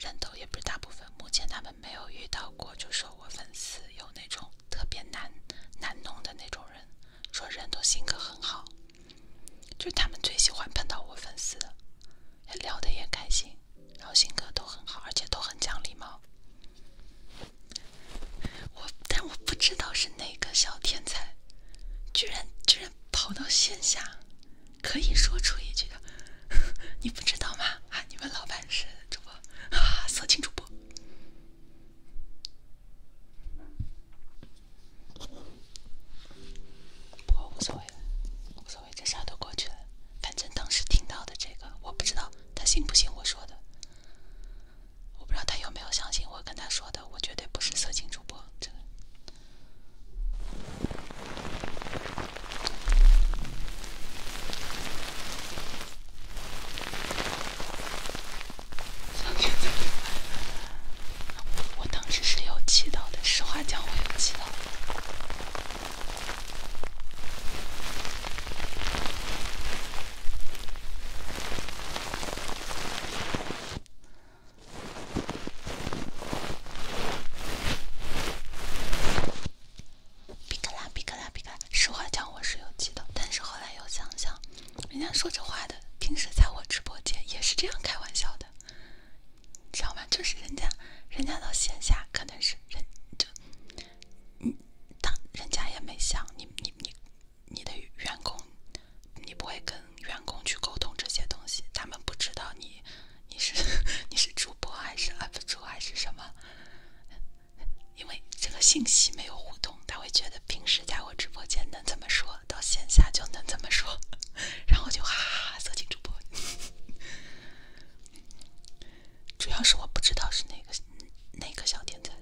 人都也不是大部分，目前他们。没有遇到过，就说我粉丝有那种特别难难弄的那种人，说人都性格很好，就他们最喜欢碰到我粉丝，聊得也开心，然后性格都很好，而且都很讲礼貌。我，但我不知道是哪个小天才，居然居然跑到线下，可以说出一句的，你不知道吗？啊，你们老板是主播，啊，色情主播。不过无所谓，了，无所谓，这啥都过去了。反正当时听到的这个，我不知道他信不信我说的，我不知道他有没有相信我跟他说的，我绝对不是色情主播。这个。我当时是有祈祷的，实话讲，我有祈祷。比克拉，比克拉，比克拉。实话讲，我是有记的，但是后来又想想，人家说这话的，平时在我直播间也是这样开玩笑的，知道吗？就是人家，人家到线下可能是人就，嗯，当人家也没想你，你你你的员工，你不会跟员工去沟通这些东西，他们不知道你你是 你是主播还是 UP 主还是什么。因为这个信息没有互动，他会觉得平时在我直播间能怎么说到线下就能怎么说，然后就哈哈色情主播。主要是我不知道是哪个哪个小天才，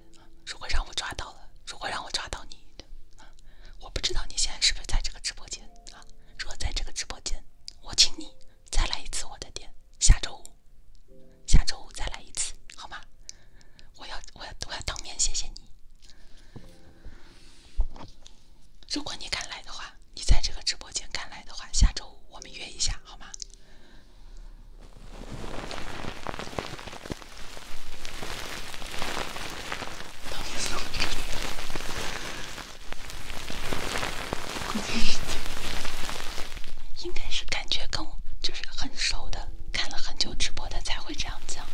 如果让我抓到了，如果让我抓到你，我不知道你现在是不是在这个直播间啊？如果在这个直播间，我请你再来一次我的店，下周五。下周五再来一次，好吗？我要，我要，我要当面谢谢你。如果你敢来的话，你在这个直播间敢来的话，下周五我们约一下，好吗？应该是感觉跟我就是很熟的，看了很久直播的才会这样讲。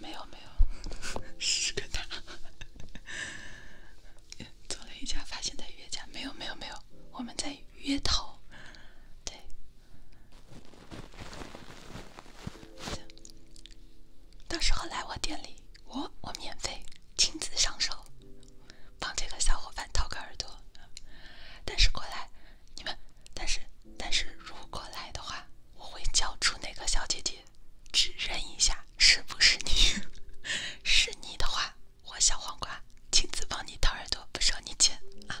没有没有，是个塔。做了一家，发现在约家。没有没有没有，我们在约头对，到时候来我店里，我我免费亲自上手。帮这个小伙伴掏个耳朵，但是过来，你们，但是但是如果来的话，我会叫出那个小姐姐，指认一下是不是你，是你的话，我小黄瓜亲自帮你掏耳朵，不收你钱啊。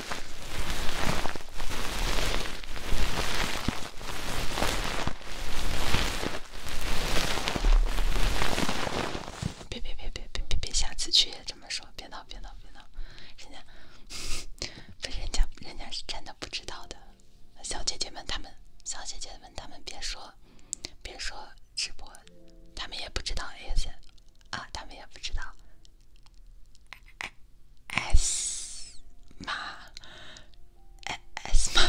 别别别别别别别！下次去也这么说，别闹别闹别闹！人家，不是人家人家是真的不知道的。小姐姐们他们，小姐姐们他们别说别说直播，他们也不知道 A 姐啊，他们也不知道。S 吗？S 吗？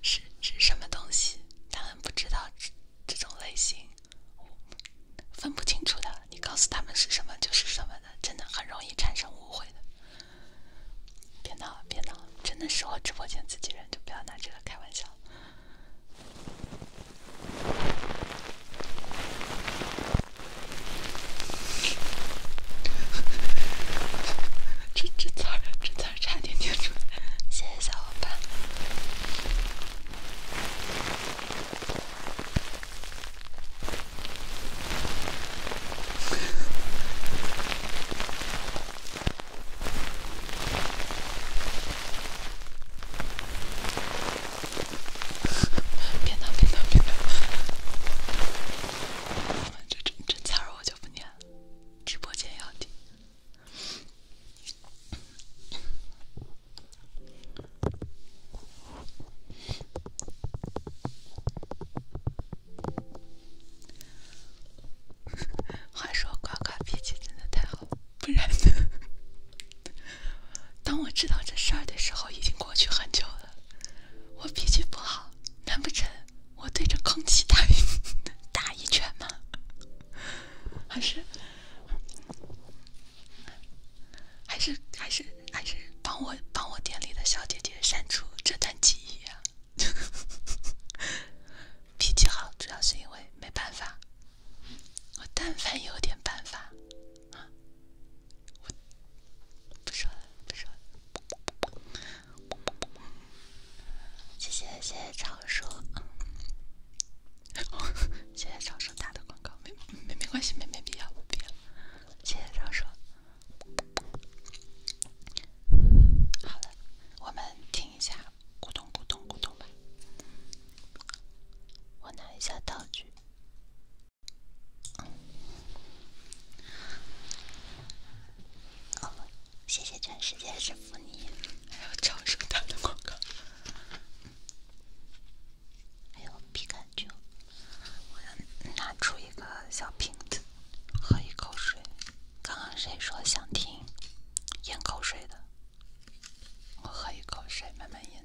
是是什么东西？他们不知道这这种类型，分不清楚的。你告诉他们是什么就是什么的，真的很容易产生误会的。别闹了，别闹了，真的是我直播间自己人，就不要拿这个开玩笑了。这这字儿，这字儿差点念出来，谢谢小伙伴。别闹别闹别闹！我们这真真我就不念了，直播间要听。话说夸夸脾气真的太好。了。不然呢？当我知道这事儿的时候，已经过去很久了。我脾气不好，难不成我对着空气打打一拳吗？还是还是还是还是帮我帮我店里的小姐姐删除这段记忆啊？脾气好，主要是因为没办法。我但凡有点办法。啊，不说了，不说了。谢谢谢谢张叔，谢谢张叔打的广告，没没没关系，没没必要，不必要。谢谢张叔。好了，我们听一下咕咚咕咚咕咚吧。我拿一下道具。哦，谢谢全世界师傅你。还有超声打的广告。还有皮感酒，我要拿出一个小瓶子，喝一口水。刚刚谁说想听咽口水的？我喝一口水，慢慢咽。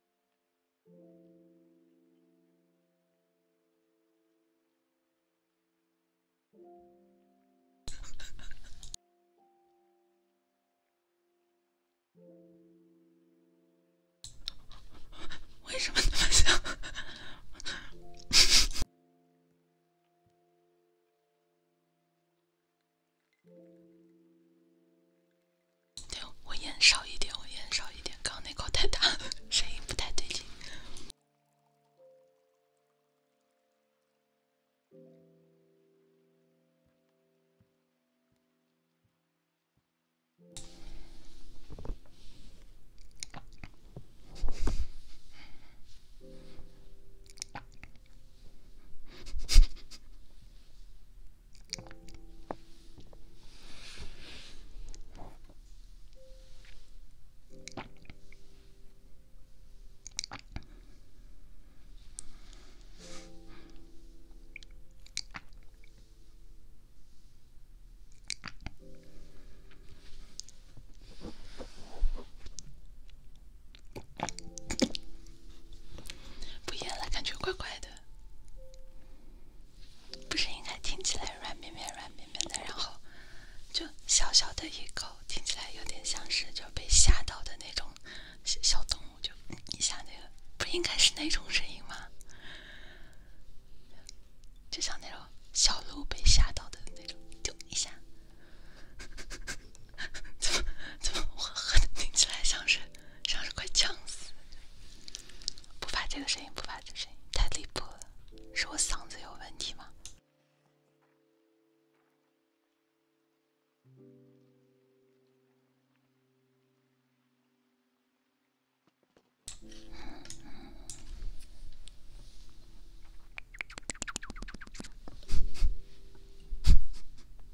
为什么那么像？对，我咽少一点，我咽少一点，刚那口太大了，声音不太对劲。不咽了，感觉怪怪的。不是应该听起来软绵绵、软绵绵的，然后就小小的一口，听起来有点像是就被吓到的那种小小动物，就一下那个，不应该是那种声音吗？就像那种小鹿被吓到的那种，丢一下，怎么怎么我喝听起来像是？像是快呛死，不发这个声音，不发这个声音，太离谱了，是我嗓子有问题吗？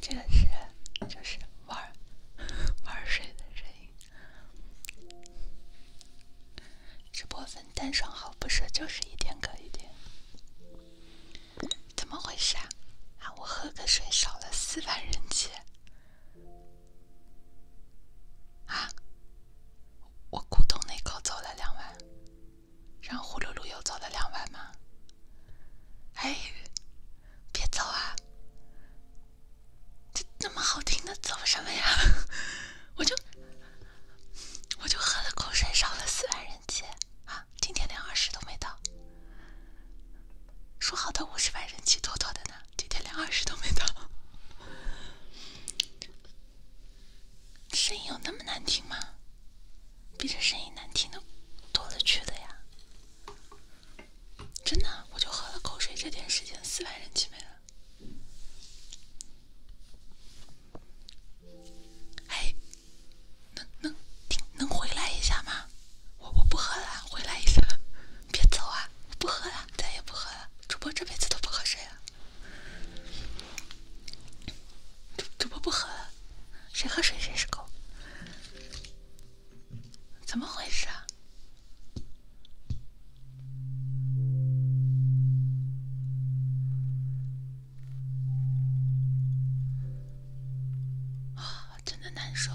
这个是就是玩玩水的声音。直播分单双号不是，就是一天隔一天。怎么回事啊？啊，我喝个水少了四万人气。啊！我古董那口走了两然让胡噜噜又走了两碗吗？哎，别走啊！这那么好听的走什么呀？我就我就喝了口水，少了四万人气啊！今天连二十都没到，说好的五十万人气妥妥的呢。今天连二十都没到，声音有那么难听吗？比这声音难听的多了去了呀！真的，我就喝了口水，这点时间四万人气没了。哎，能能能回来一下吗？我我不喝了，回来一下。别走啊！我不喝了，再也不喝了。主播这辈子都不喝水了。主主播不喝了，谁喝水谁是狗？怎么回事啊？啊，真的难受。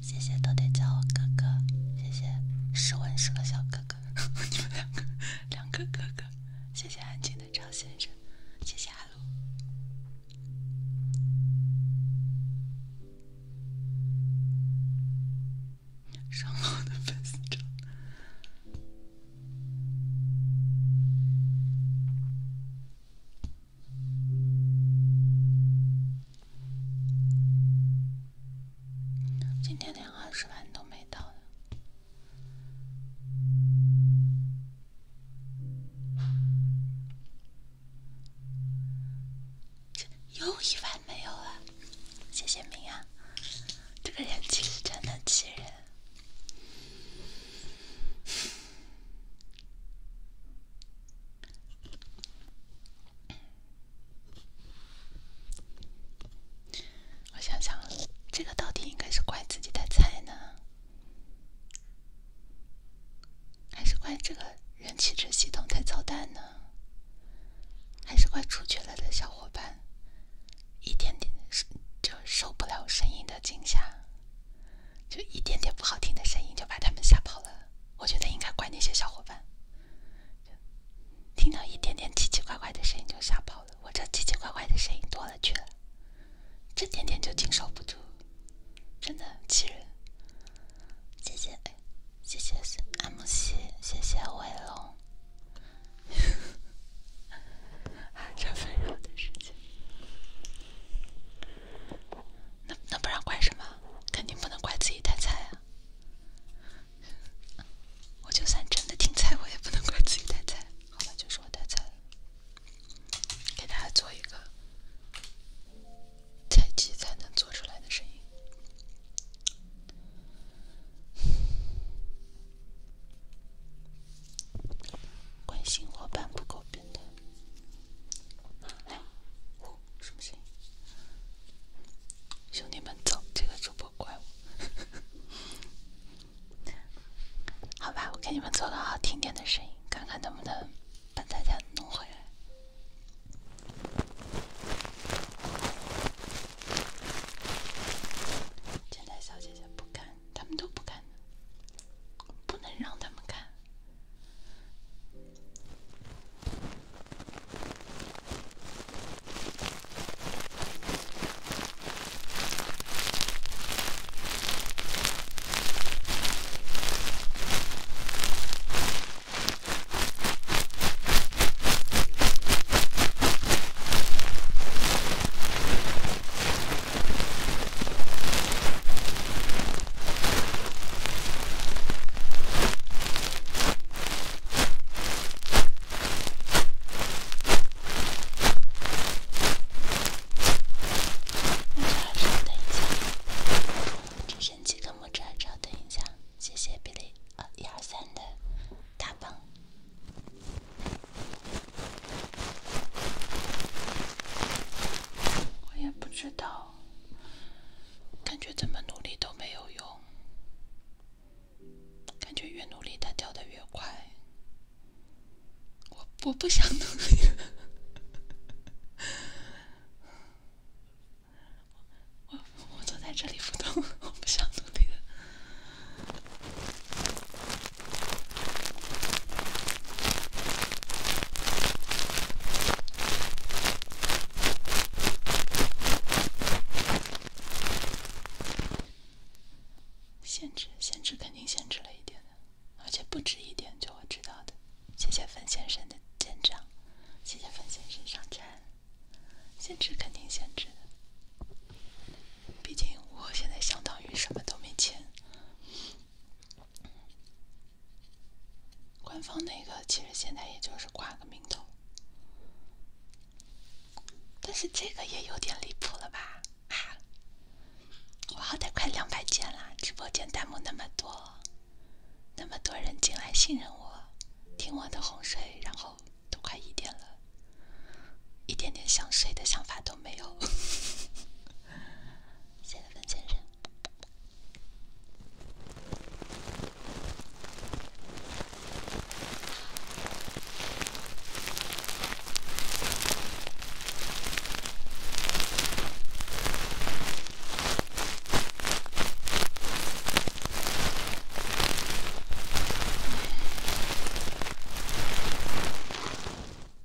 谢谢都得叫我哥哥，谢谢十文十个小哥哥，你们两个两个哥哥，谢谢安静的赵先生，谢谢阿鲁，上号的粉丝证。今天连二十万都没到，呢，这又一万没有了。谢谢明啊，这个人其实真的气人。我想想，这个到底应该是怪自己的菜呢，还是怪这个人体质系统太操蛋呢？还是怪出去了的小伙伴一点点就受不了声音的惊吓？就一点点不好听的声音就把他们吓跑了，我觉得应该怪那些小伙伴，听到一点点奇奇怪怪的声音就吓跑了，我这奇奇怪怪的声音多了去了，这点点就经受不住，真的很气人。谢谢，谢谢慕希，谢谢威龙，这纷扰的时间。那那不然怪什么？肯定不能怪自己太菜啊！我就算真的挺菜，我也不能怪自己太菜。好吧，就是我太菜了。给大家做一个菜鸡才能做出来的声音。关心伙伴不够。来，呜，什么声音？兄弟们，走，这个主播怪我。好吧，我给你们做个好听点的声音，看看能不能把大家弄回来。前台小姐姐不敢。他们都不敢，不能让他们看。拇指二招等一下，只剩几个拇指二招，等一下，谢谢比利，呃，一二三的大棒。我也不知道，感觉怎么努力都没有用，感觉越努力它掉的越快，我我不想努力，我我我坐在这里不动，我不想努力了。限制，限制肯定限制了一点的，而且不止一点就会知道的。谢谢粉先生的见长，谢谢粉先生上船。限制肯定限制的，毕竟我现在相当于什么都没钱。官方那个其实现在也就是挂个名头，但是这个也有点离谱了吧？啊，我好歹快两百件了，直播间弹幕那么多，那么多人进来信任我，听我的哄睡，然后都快一点了，一点点想睡的想法都没有。谢谢邓先生。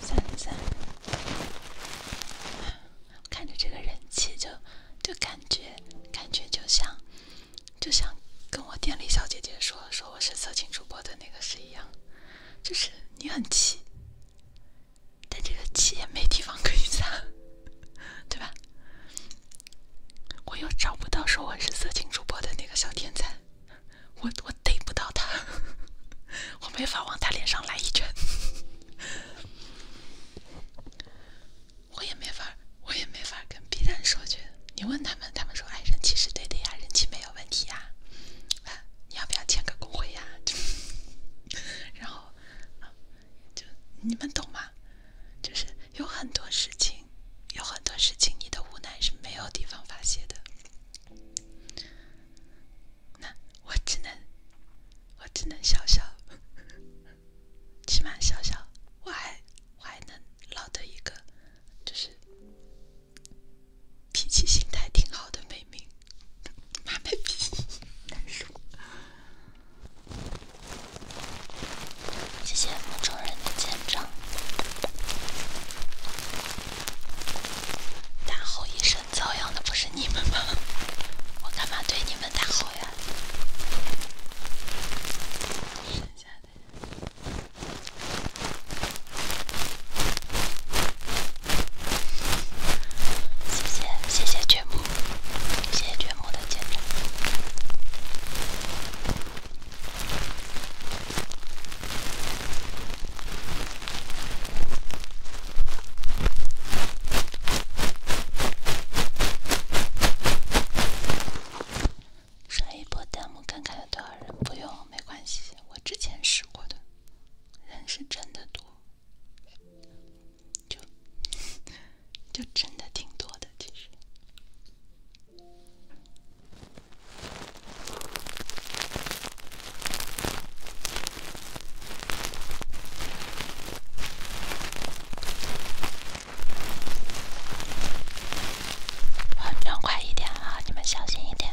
三三，看着这个人气，就就感觉，感觉就像，就像跟我店里小姐姐说说我是色情主播的那个是一样，就是你很气，但这个气也没地方可以撒，对吧？我又找不到说我是色情主播的那个小天才，我我逮不到他，我没法往他脸上来一拳，我也没法，我也没法跟 B 站说去，你问他们，他们说哎人气是对的呀，人气没有问题呀，啊你要不要签个公会呀？然后。就你们懂吗？就是有很多事情，有很多事情，你的无奈是没有地方发泄的。那我只能，我只能笑笑，起码笑笑，我还我还能捞得一个，就是脾气心态挺好的妹名，没皮，难受。谢谢梦中人的见证。大吼一声遭殃的不是你们吗？我干嘛对你们大吼呀？谢谢谢谢君木。谢谢绝木的坚持。刷一波弹幕看看有多少人，不用，没关系，我之前试过的，人是真的多。就就真的挺多的，其实。快一点你们小心一点。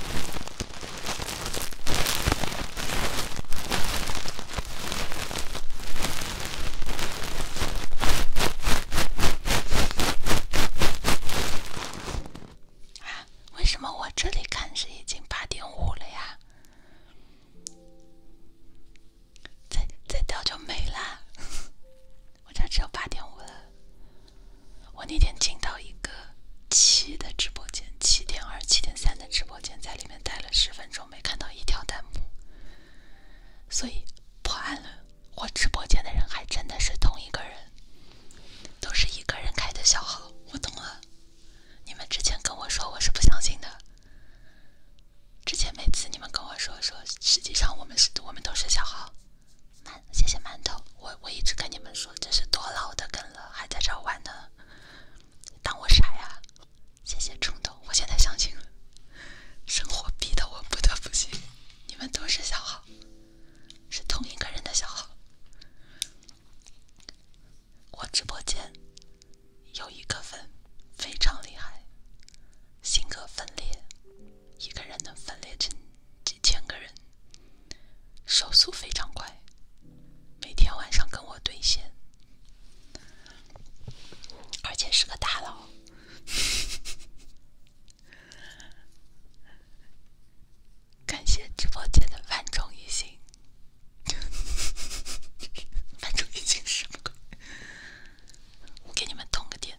啊，为什么我这里看是已经八点五了呀？再再掉就没啦。我这只有八点五了。我那天进到一个七的直播间，七点二、七点三的直播间，在里面待了十分钟，没看到一条弹幕。所以破案了，我直播间的人还真的是同一个人，都是一个人开的小号。我懂了，你们之前跟我说我是不相信的，之前每次你们跟我说说，实际上我们是我们都是小号。馒，谢谢馒头，我我一直跟你们说这是多老的梗了，还在这儿玩呢，当我傻呀？谢谢冲动，我现在相信了，生活逼得我不得不信。你们都是小号，是同一个人的小号。我直播间有一个粉非常厉害，性格分裂。一个人能分裂成几千个人，手速非常快，每天晚上跟我对线，而且是个大佬。感谢直播间的万众一心，万众一心什么？我给你们通个电。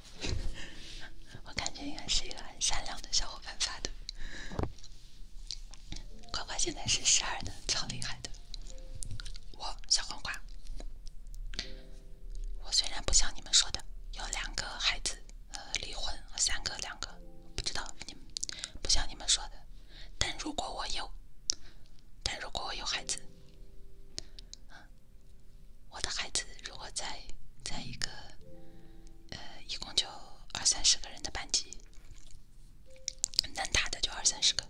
我感觉应该是一个很善良的小伙伴发的。瓜瓜现在是十二的，超厉害的。我小黄瓜，我虽然不像你们说的有两个孩子，呃，离婚和三个两个不知道你们不像你们说的，但如果我有，但如果我有孩子。我的孩子，如果在在一个，呃，一共就二三十个人的班级，能打的就二三十个，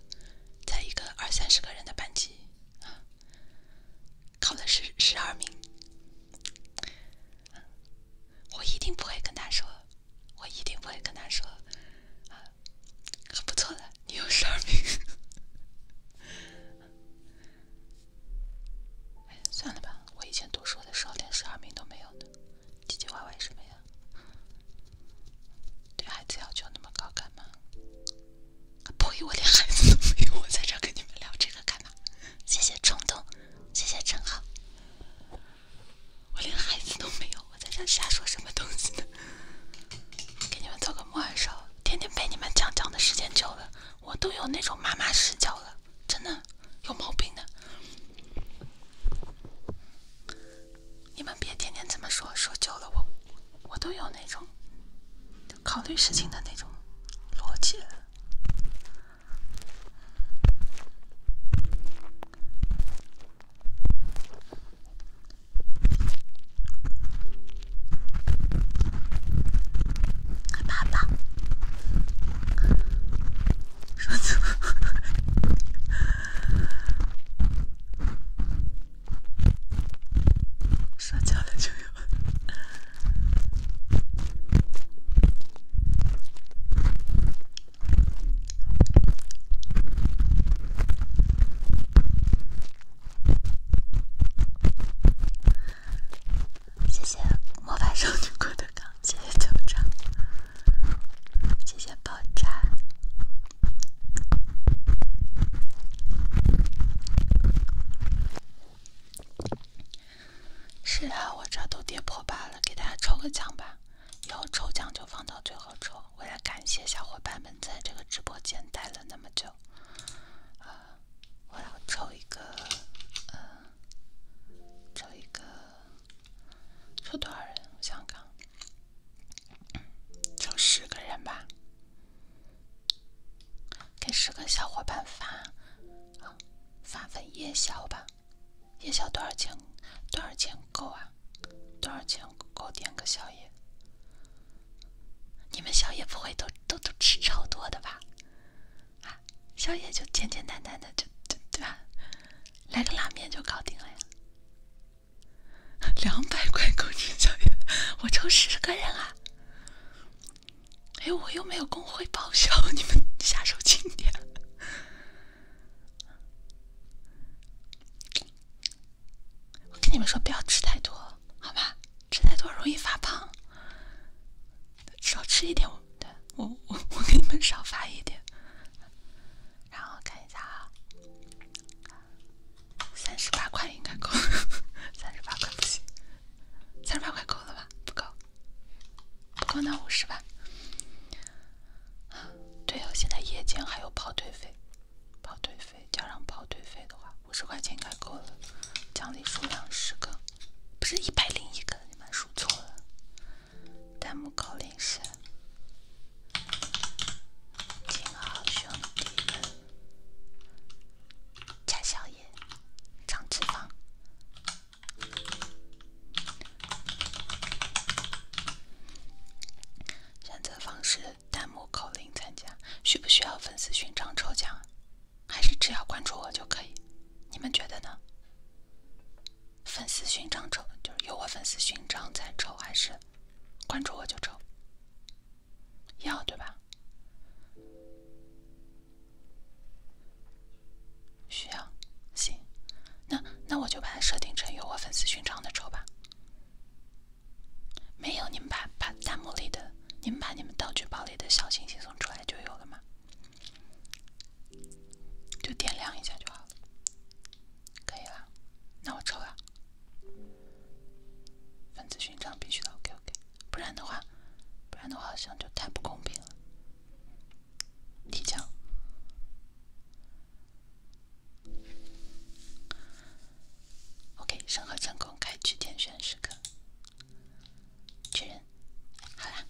在一个二三十个人的班级啊，考了十十二名，我一定不会跟他说，我一定不会跟他说，啊，很不错的，你有十二名。哎，算了吧，我以前读书的时候连十二名都没有呢，唧唧歪歪什么呀？对孩子要求那么高干嘛？呸！我连孩子都没有，我在这跟你们聊这个干嘛？谢谢冲动，谢谢正好。我连孩子都没有，我在这瞎说什么东西呢？给你们做个木偶手，天天陪你们讲讲的时间久了。我都有那种妈妈视角了，真的有毛病的！你们别天天这么说，说久了我我都有那种考虑事情的那种逻辑了。害怕吧，受挫，受挫了就要。谢谢魔法少女郭德纲，谢谢队长，谢谢爆炸。是啊，我这都跌破八了，给大家抽个奖吧。以后抽奖就放到最后抽，为了感谢小伙伴们在这个直播间待了那么久。我要抽一个，呃，抽一个，抽多少人？我想想，抽十个人吧，给十个小伙伴发，发份夜宵吧。夜宵多少钱？多少钱够啊？多少钱够点个宵夜？你们宵夜不会都都都吃超多的吧？啊，宵夜就简简单单的，就就对吧？来个拉面就搞定了呀。两百块工资宵夜，我抽十个人啊。哎，我又没有工会报销，你们下手轻点。我跟你们说，不要吃太多，好吧？吃太多容易发胖，少吃一点。我，我，我给你们少发一点。然后看一下啊，三十八块应该够，三十八块不行，三十八块够了吧？不够，不够那五十吧。对哦，现在夜间还有跑腿费，跑腿费加上跑腿费的话，五十块钱应该够了。奖励数量十个。不是一百零一个，你们数错了。弹幕口令是：金好兄弟们，加宵夜，长脂肪。选择方式：弹幕口令参加。需不需要粉丝勋章抽奖？还是只要关注我就可以，你们觉得呢？粉丝勋章抽就是有我粉丝勋章在抽，还是关注我就抽？要对吧？需要，行，那那我就把它设定成有我粉丝勋章的抽吧。没有，你们把把弹幕里的，你们把你们道具包里的小星星送出来就有了吗？就点亮一下就好了，可以啦。那我抽了，粉丝勋章必须的。OK OK，不然的话，不然的话好像就太不公平了。提交。OK，审核成功，开启天选时刻。群，好啦，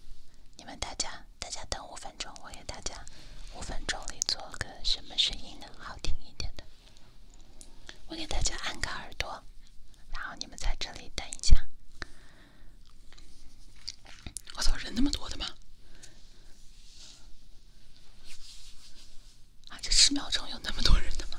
你们大家，大家等五分钟，我给大家五分钟里做个什么声音呢？好听一点的，我给大家按个耳朵，然后你们在这里等一下。我操，人那么多的吗？啊，这十秒钟有那么多人的吗？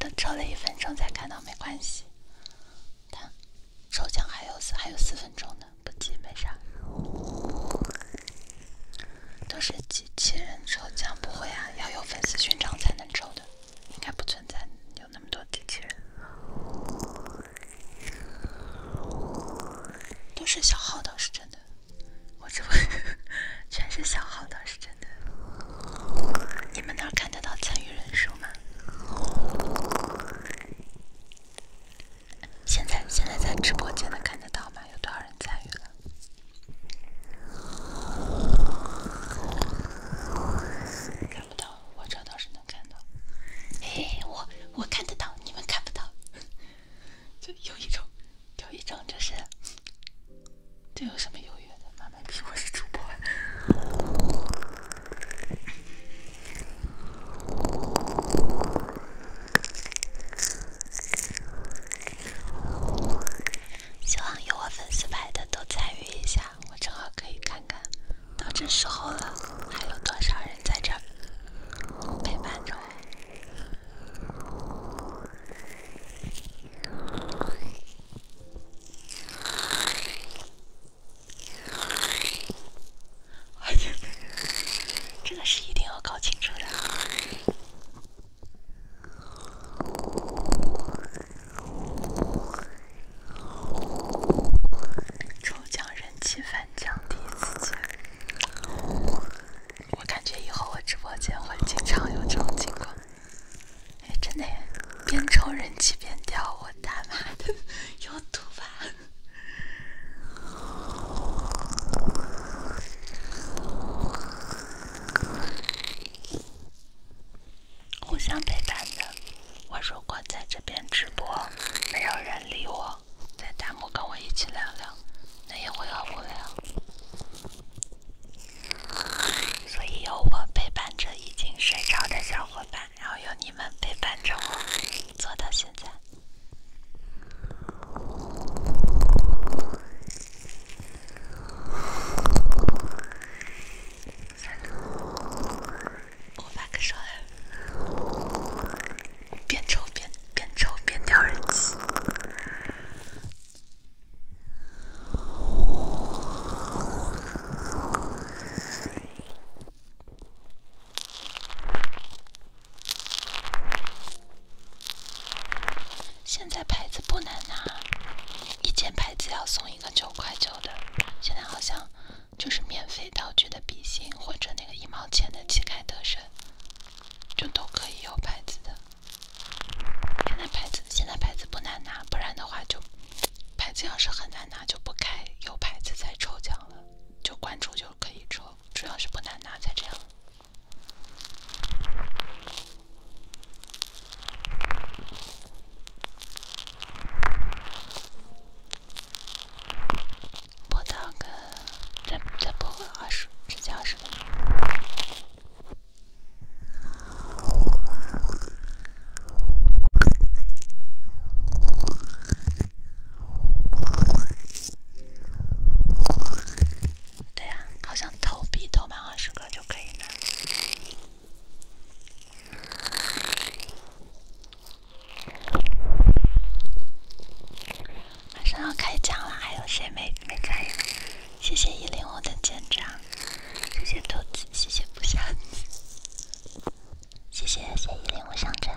等抽了一分钟才看到，没关系。看，抽奖还有还有四分钟呢，不急，没啥。都是机器人抽奖，不会啊，要有粉丝勋章才能抽的，应该不存在有那么多机器人。都是小号，倒是真的。我直播全是小号的，是真的。你们那儿看得到参与人数吗？现在现在在直播间的看得到吗？有多少人参与了？看不到，我这倒是能看到。哎，我我看得到，你们看不到。这有一种，有一种，就是，这有什么优越的？慢慢比我是主播，希望有我粉丝牌的都参与一下，我正好可以看看，到这时候了，还有多少人在这儿陪伴着我？这个是一定要搞清楚的。抽奖人气翻奖第一次见。我感觉以后我直播间会经常有这种情况，哎，真的，边抽人气边掉，我他妈的 有毒吧！互相陪伴着，我如果在这边直播，没有人理我。在弹幕跟我一起聊聊，那也会很无聊。所以有我陪伴着已经睡着的小伙伴，然后有你们陪伴着我，做到现在。我发个烧了。边抽边边抽边掉耳机。现在牌子不难拿，以前牌子要送一个九块九的，现在好像就是免费道具的笔芯或者那个一毛钱的旗开得胜。就都可以有牌子的，现在牌子现在牌子不难拿，不然的话就牌子要是很难拿就不开有牌子再抽奖了，就关注就可以抽，主要是不难拿才这样。播到个，再再播二十，直接二十分钟。对呀，好像投币投满二十个就可以了。马上要开奖了，还有谁没没开与？谢谢一零五的舰长，谢谢兔子，谢谢不祥子，谢谢谢谢一零五上阵，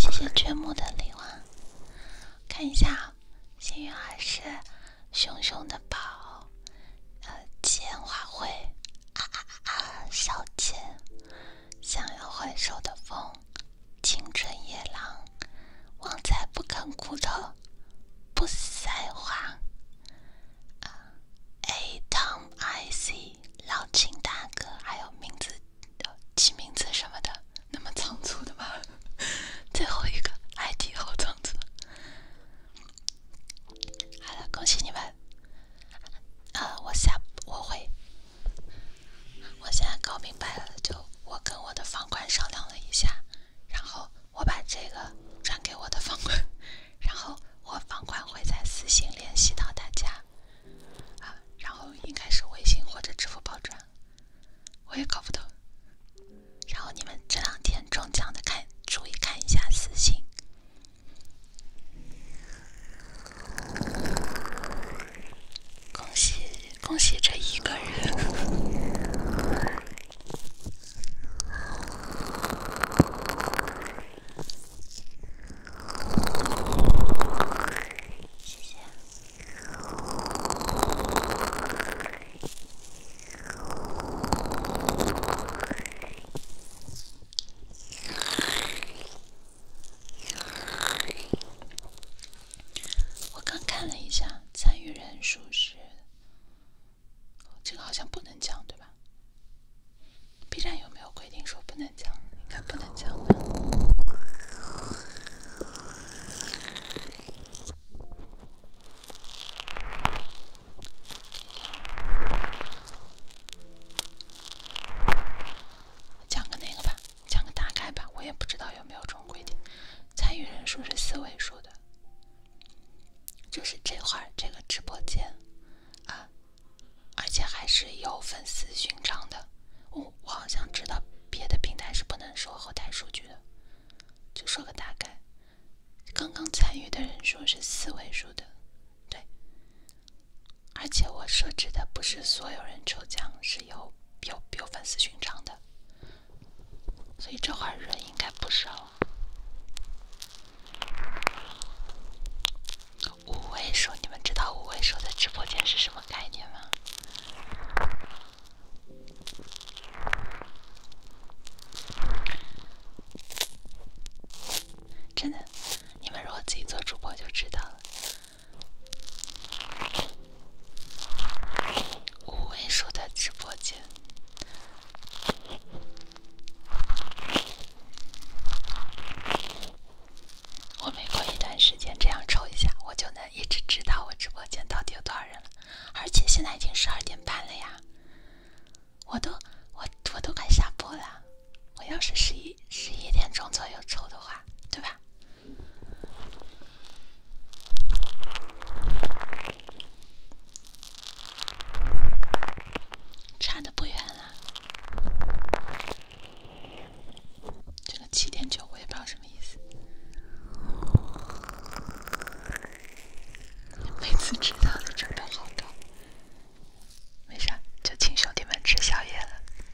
谢谢君木的礼物。看一下，幸运儿是熊熊的宝，呃，钱花卉，啊啊啊啊，小钱。想要回手的风，青春野狼，旺财不啃骨头，不塞花。啊，A Tom I C，老秦大哥，还有名字，起名字什么的，那么仓促的吗？最后一个 ID 好仓促。好了，恭喜你们。啊，我下我会。我现在搞明白了，就我跟我的房管商量了一下，然后我把这个转给我的房管，然后我房管会在私信联系到大家，啊，然后应该是微信或者支付宝转，我也搞不懂。然后你们这两天中奖的看注意看一下私信。恭喜恭喜这一个人！谢谢。我刚看了一下，参与人数是……这个好像不能讲，对吧？B 站有没有规定说不能讲？应该不能讲的。讲个那个吧，讲个大概吧，我也不知道有没有这种规定。参与人数是四位数的，这是这会儿这个直播间啊，而且还是有粉丝勋章的。我、我好像知道别的平台是不能说后台数据的，就说个大概。刚刚参与的人数是四位数的。对，而且我设置的不是所有人抽奖，是有有有粉丝勋章的，所以这会儿人应该不少。五位数，你们知道五位数的直播间是什么概念吗？真的，你们如果自己做主播就知道了。吴文书的直播间，我每过一段时间这样抽一下，我就能一直知道我直播间到底有多少人了。而且现在已经十二点半了呀，我都我我都快下播了，我要是十一。十一点钟左右抽的话，对吧？差的不远了。这个七点九，我也不知道什么意思。每次迟到都准备好的，没啥，就请兄弟们吃宵夜了。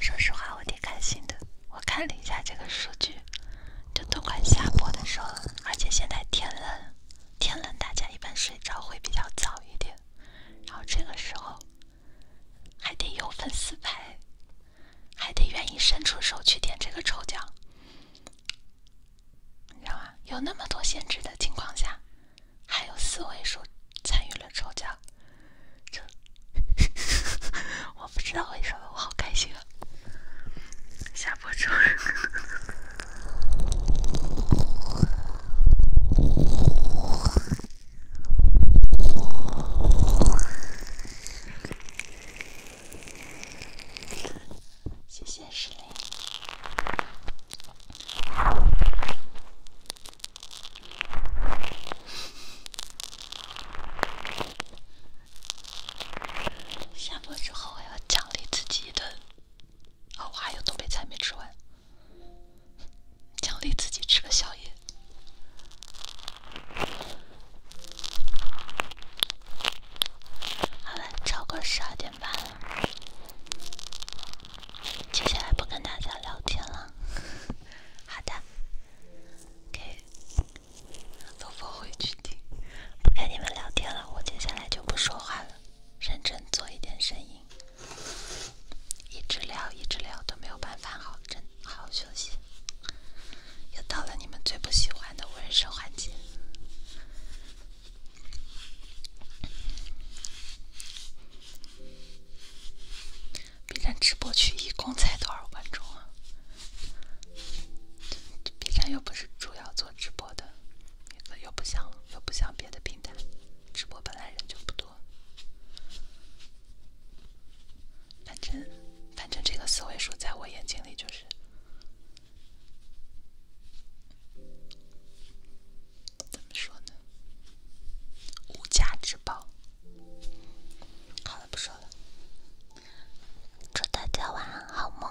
说实话，我挺开心的。我看了一下这个数据，就都快下播的时候了。而且现在天冷，天冷大家一般睡着会比较早一点，然后这个时候还得有粉丝牌，还得愿意伸出手去点这个抽奖，你知道吗？有那么多限制的情况下，还有四位数参与了抽奖。这，我不知道为什么，我好开心啊！下播之后，谢谢石林。下播之后我要奖励自己一顿，哦，我还有东北菜没吃完，奖励自己吃个宵夜。好了，超过十二点半了，接下来不跟大家聊天了。好的。ok，都放回去听。不跟你们聊天了，我接下来就不说话了，认真做一点声音。一直聊，一直聊都没有办法好，真好好休息。又到了你们最不喜欢的纹身环节。B 站直播区一共才多少观众啊？B 站又不是主要做直播的，又不像又不像别的平台，直播本来人就不多。反正反正这个四位数在我眼睛里就是，怎么说呢？无价之宝。好了，不说了。祝大家晚安，好梦。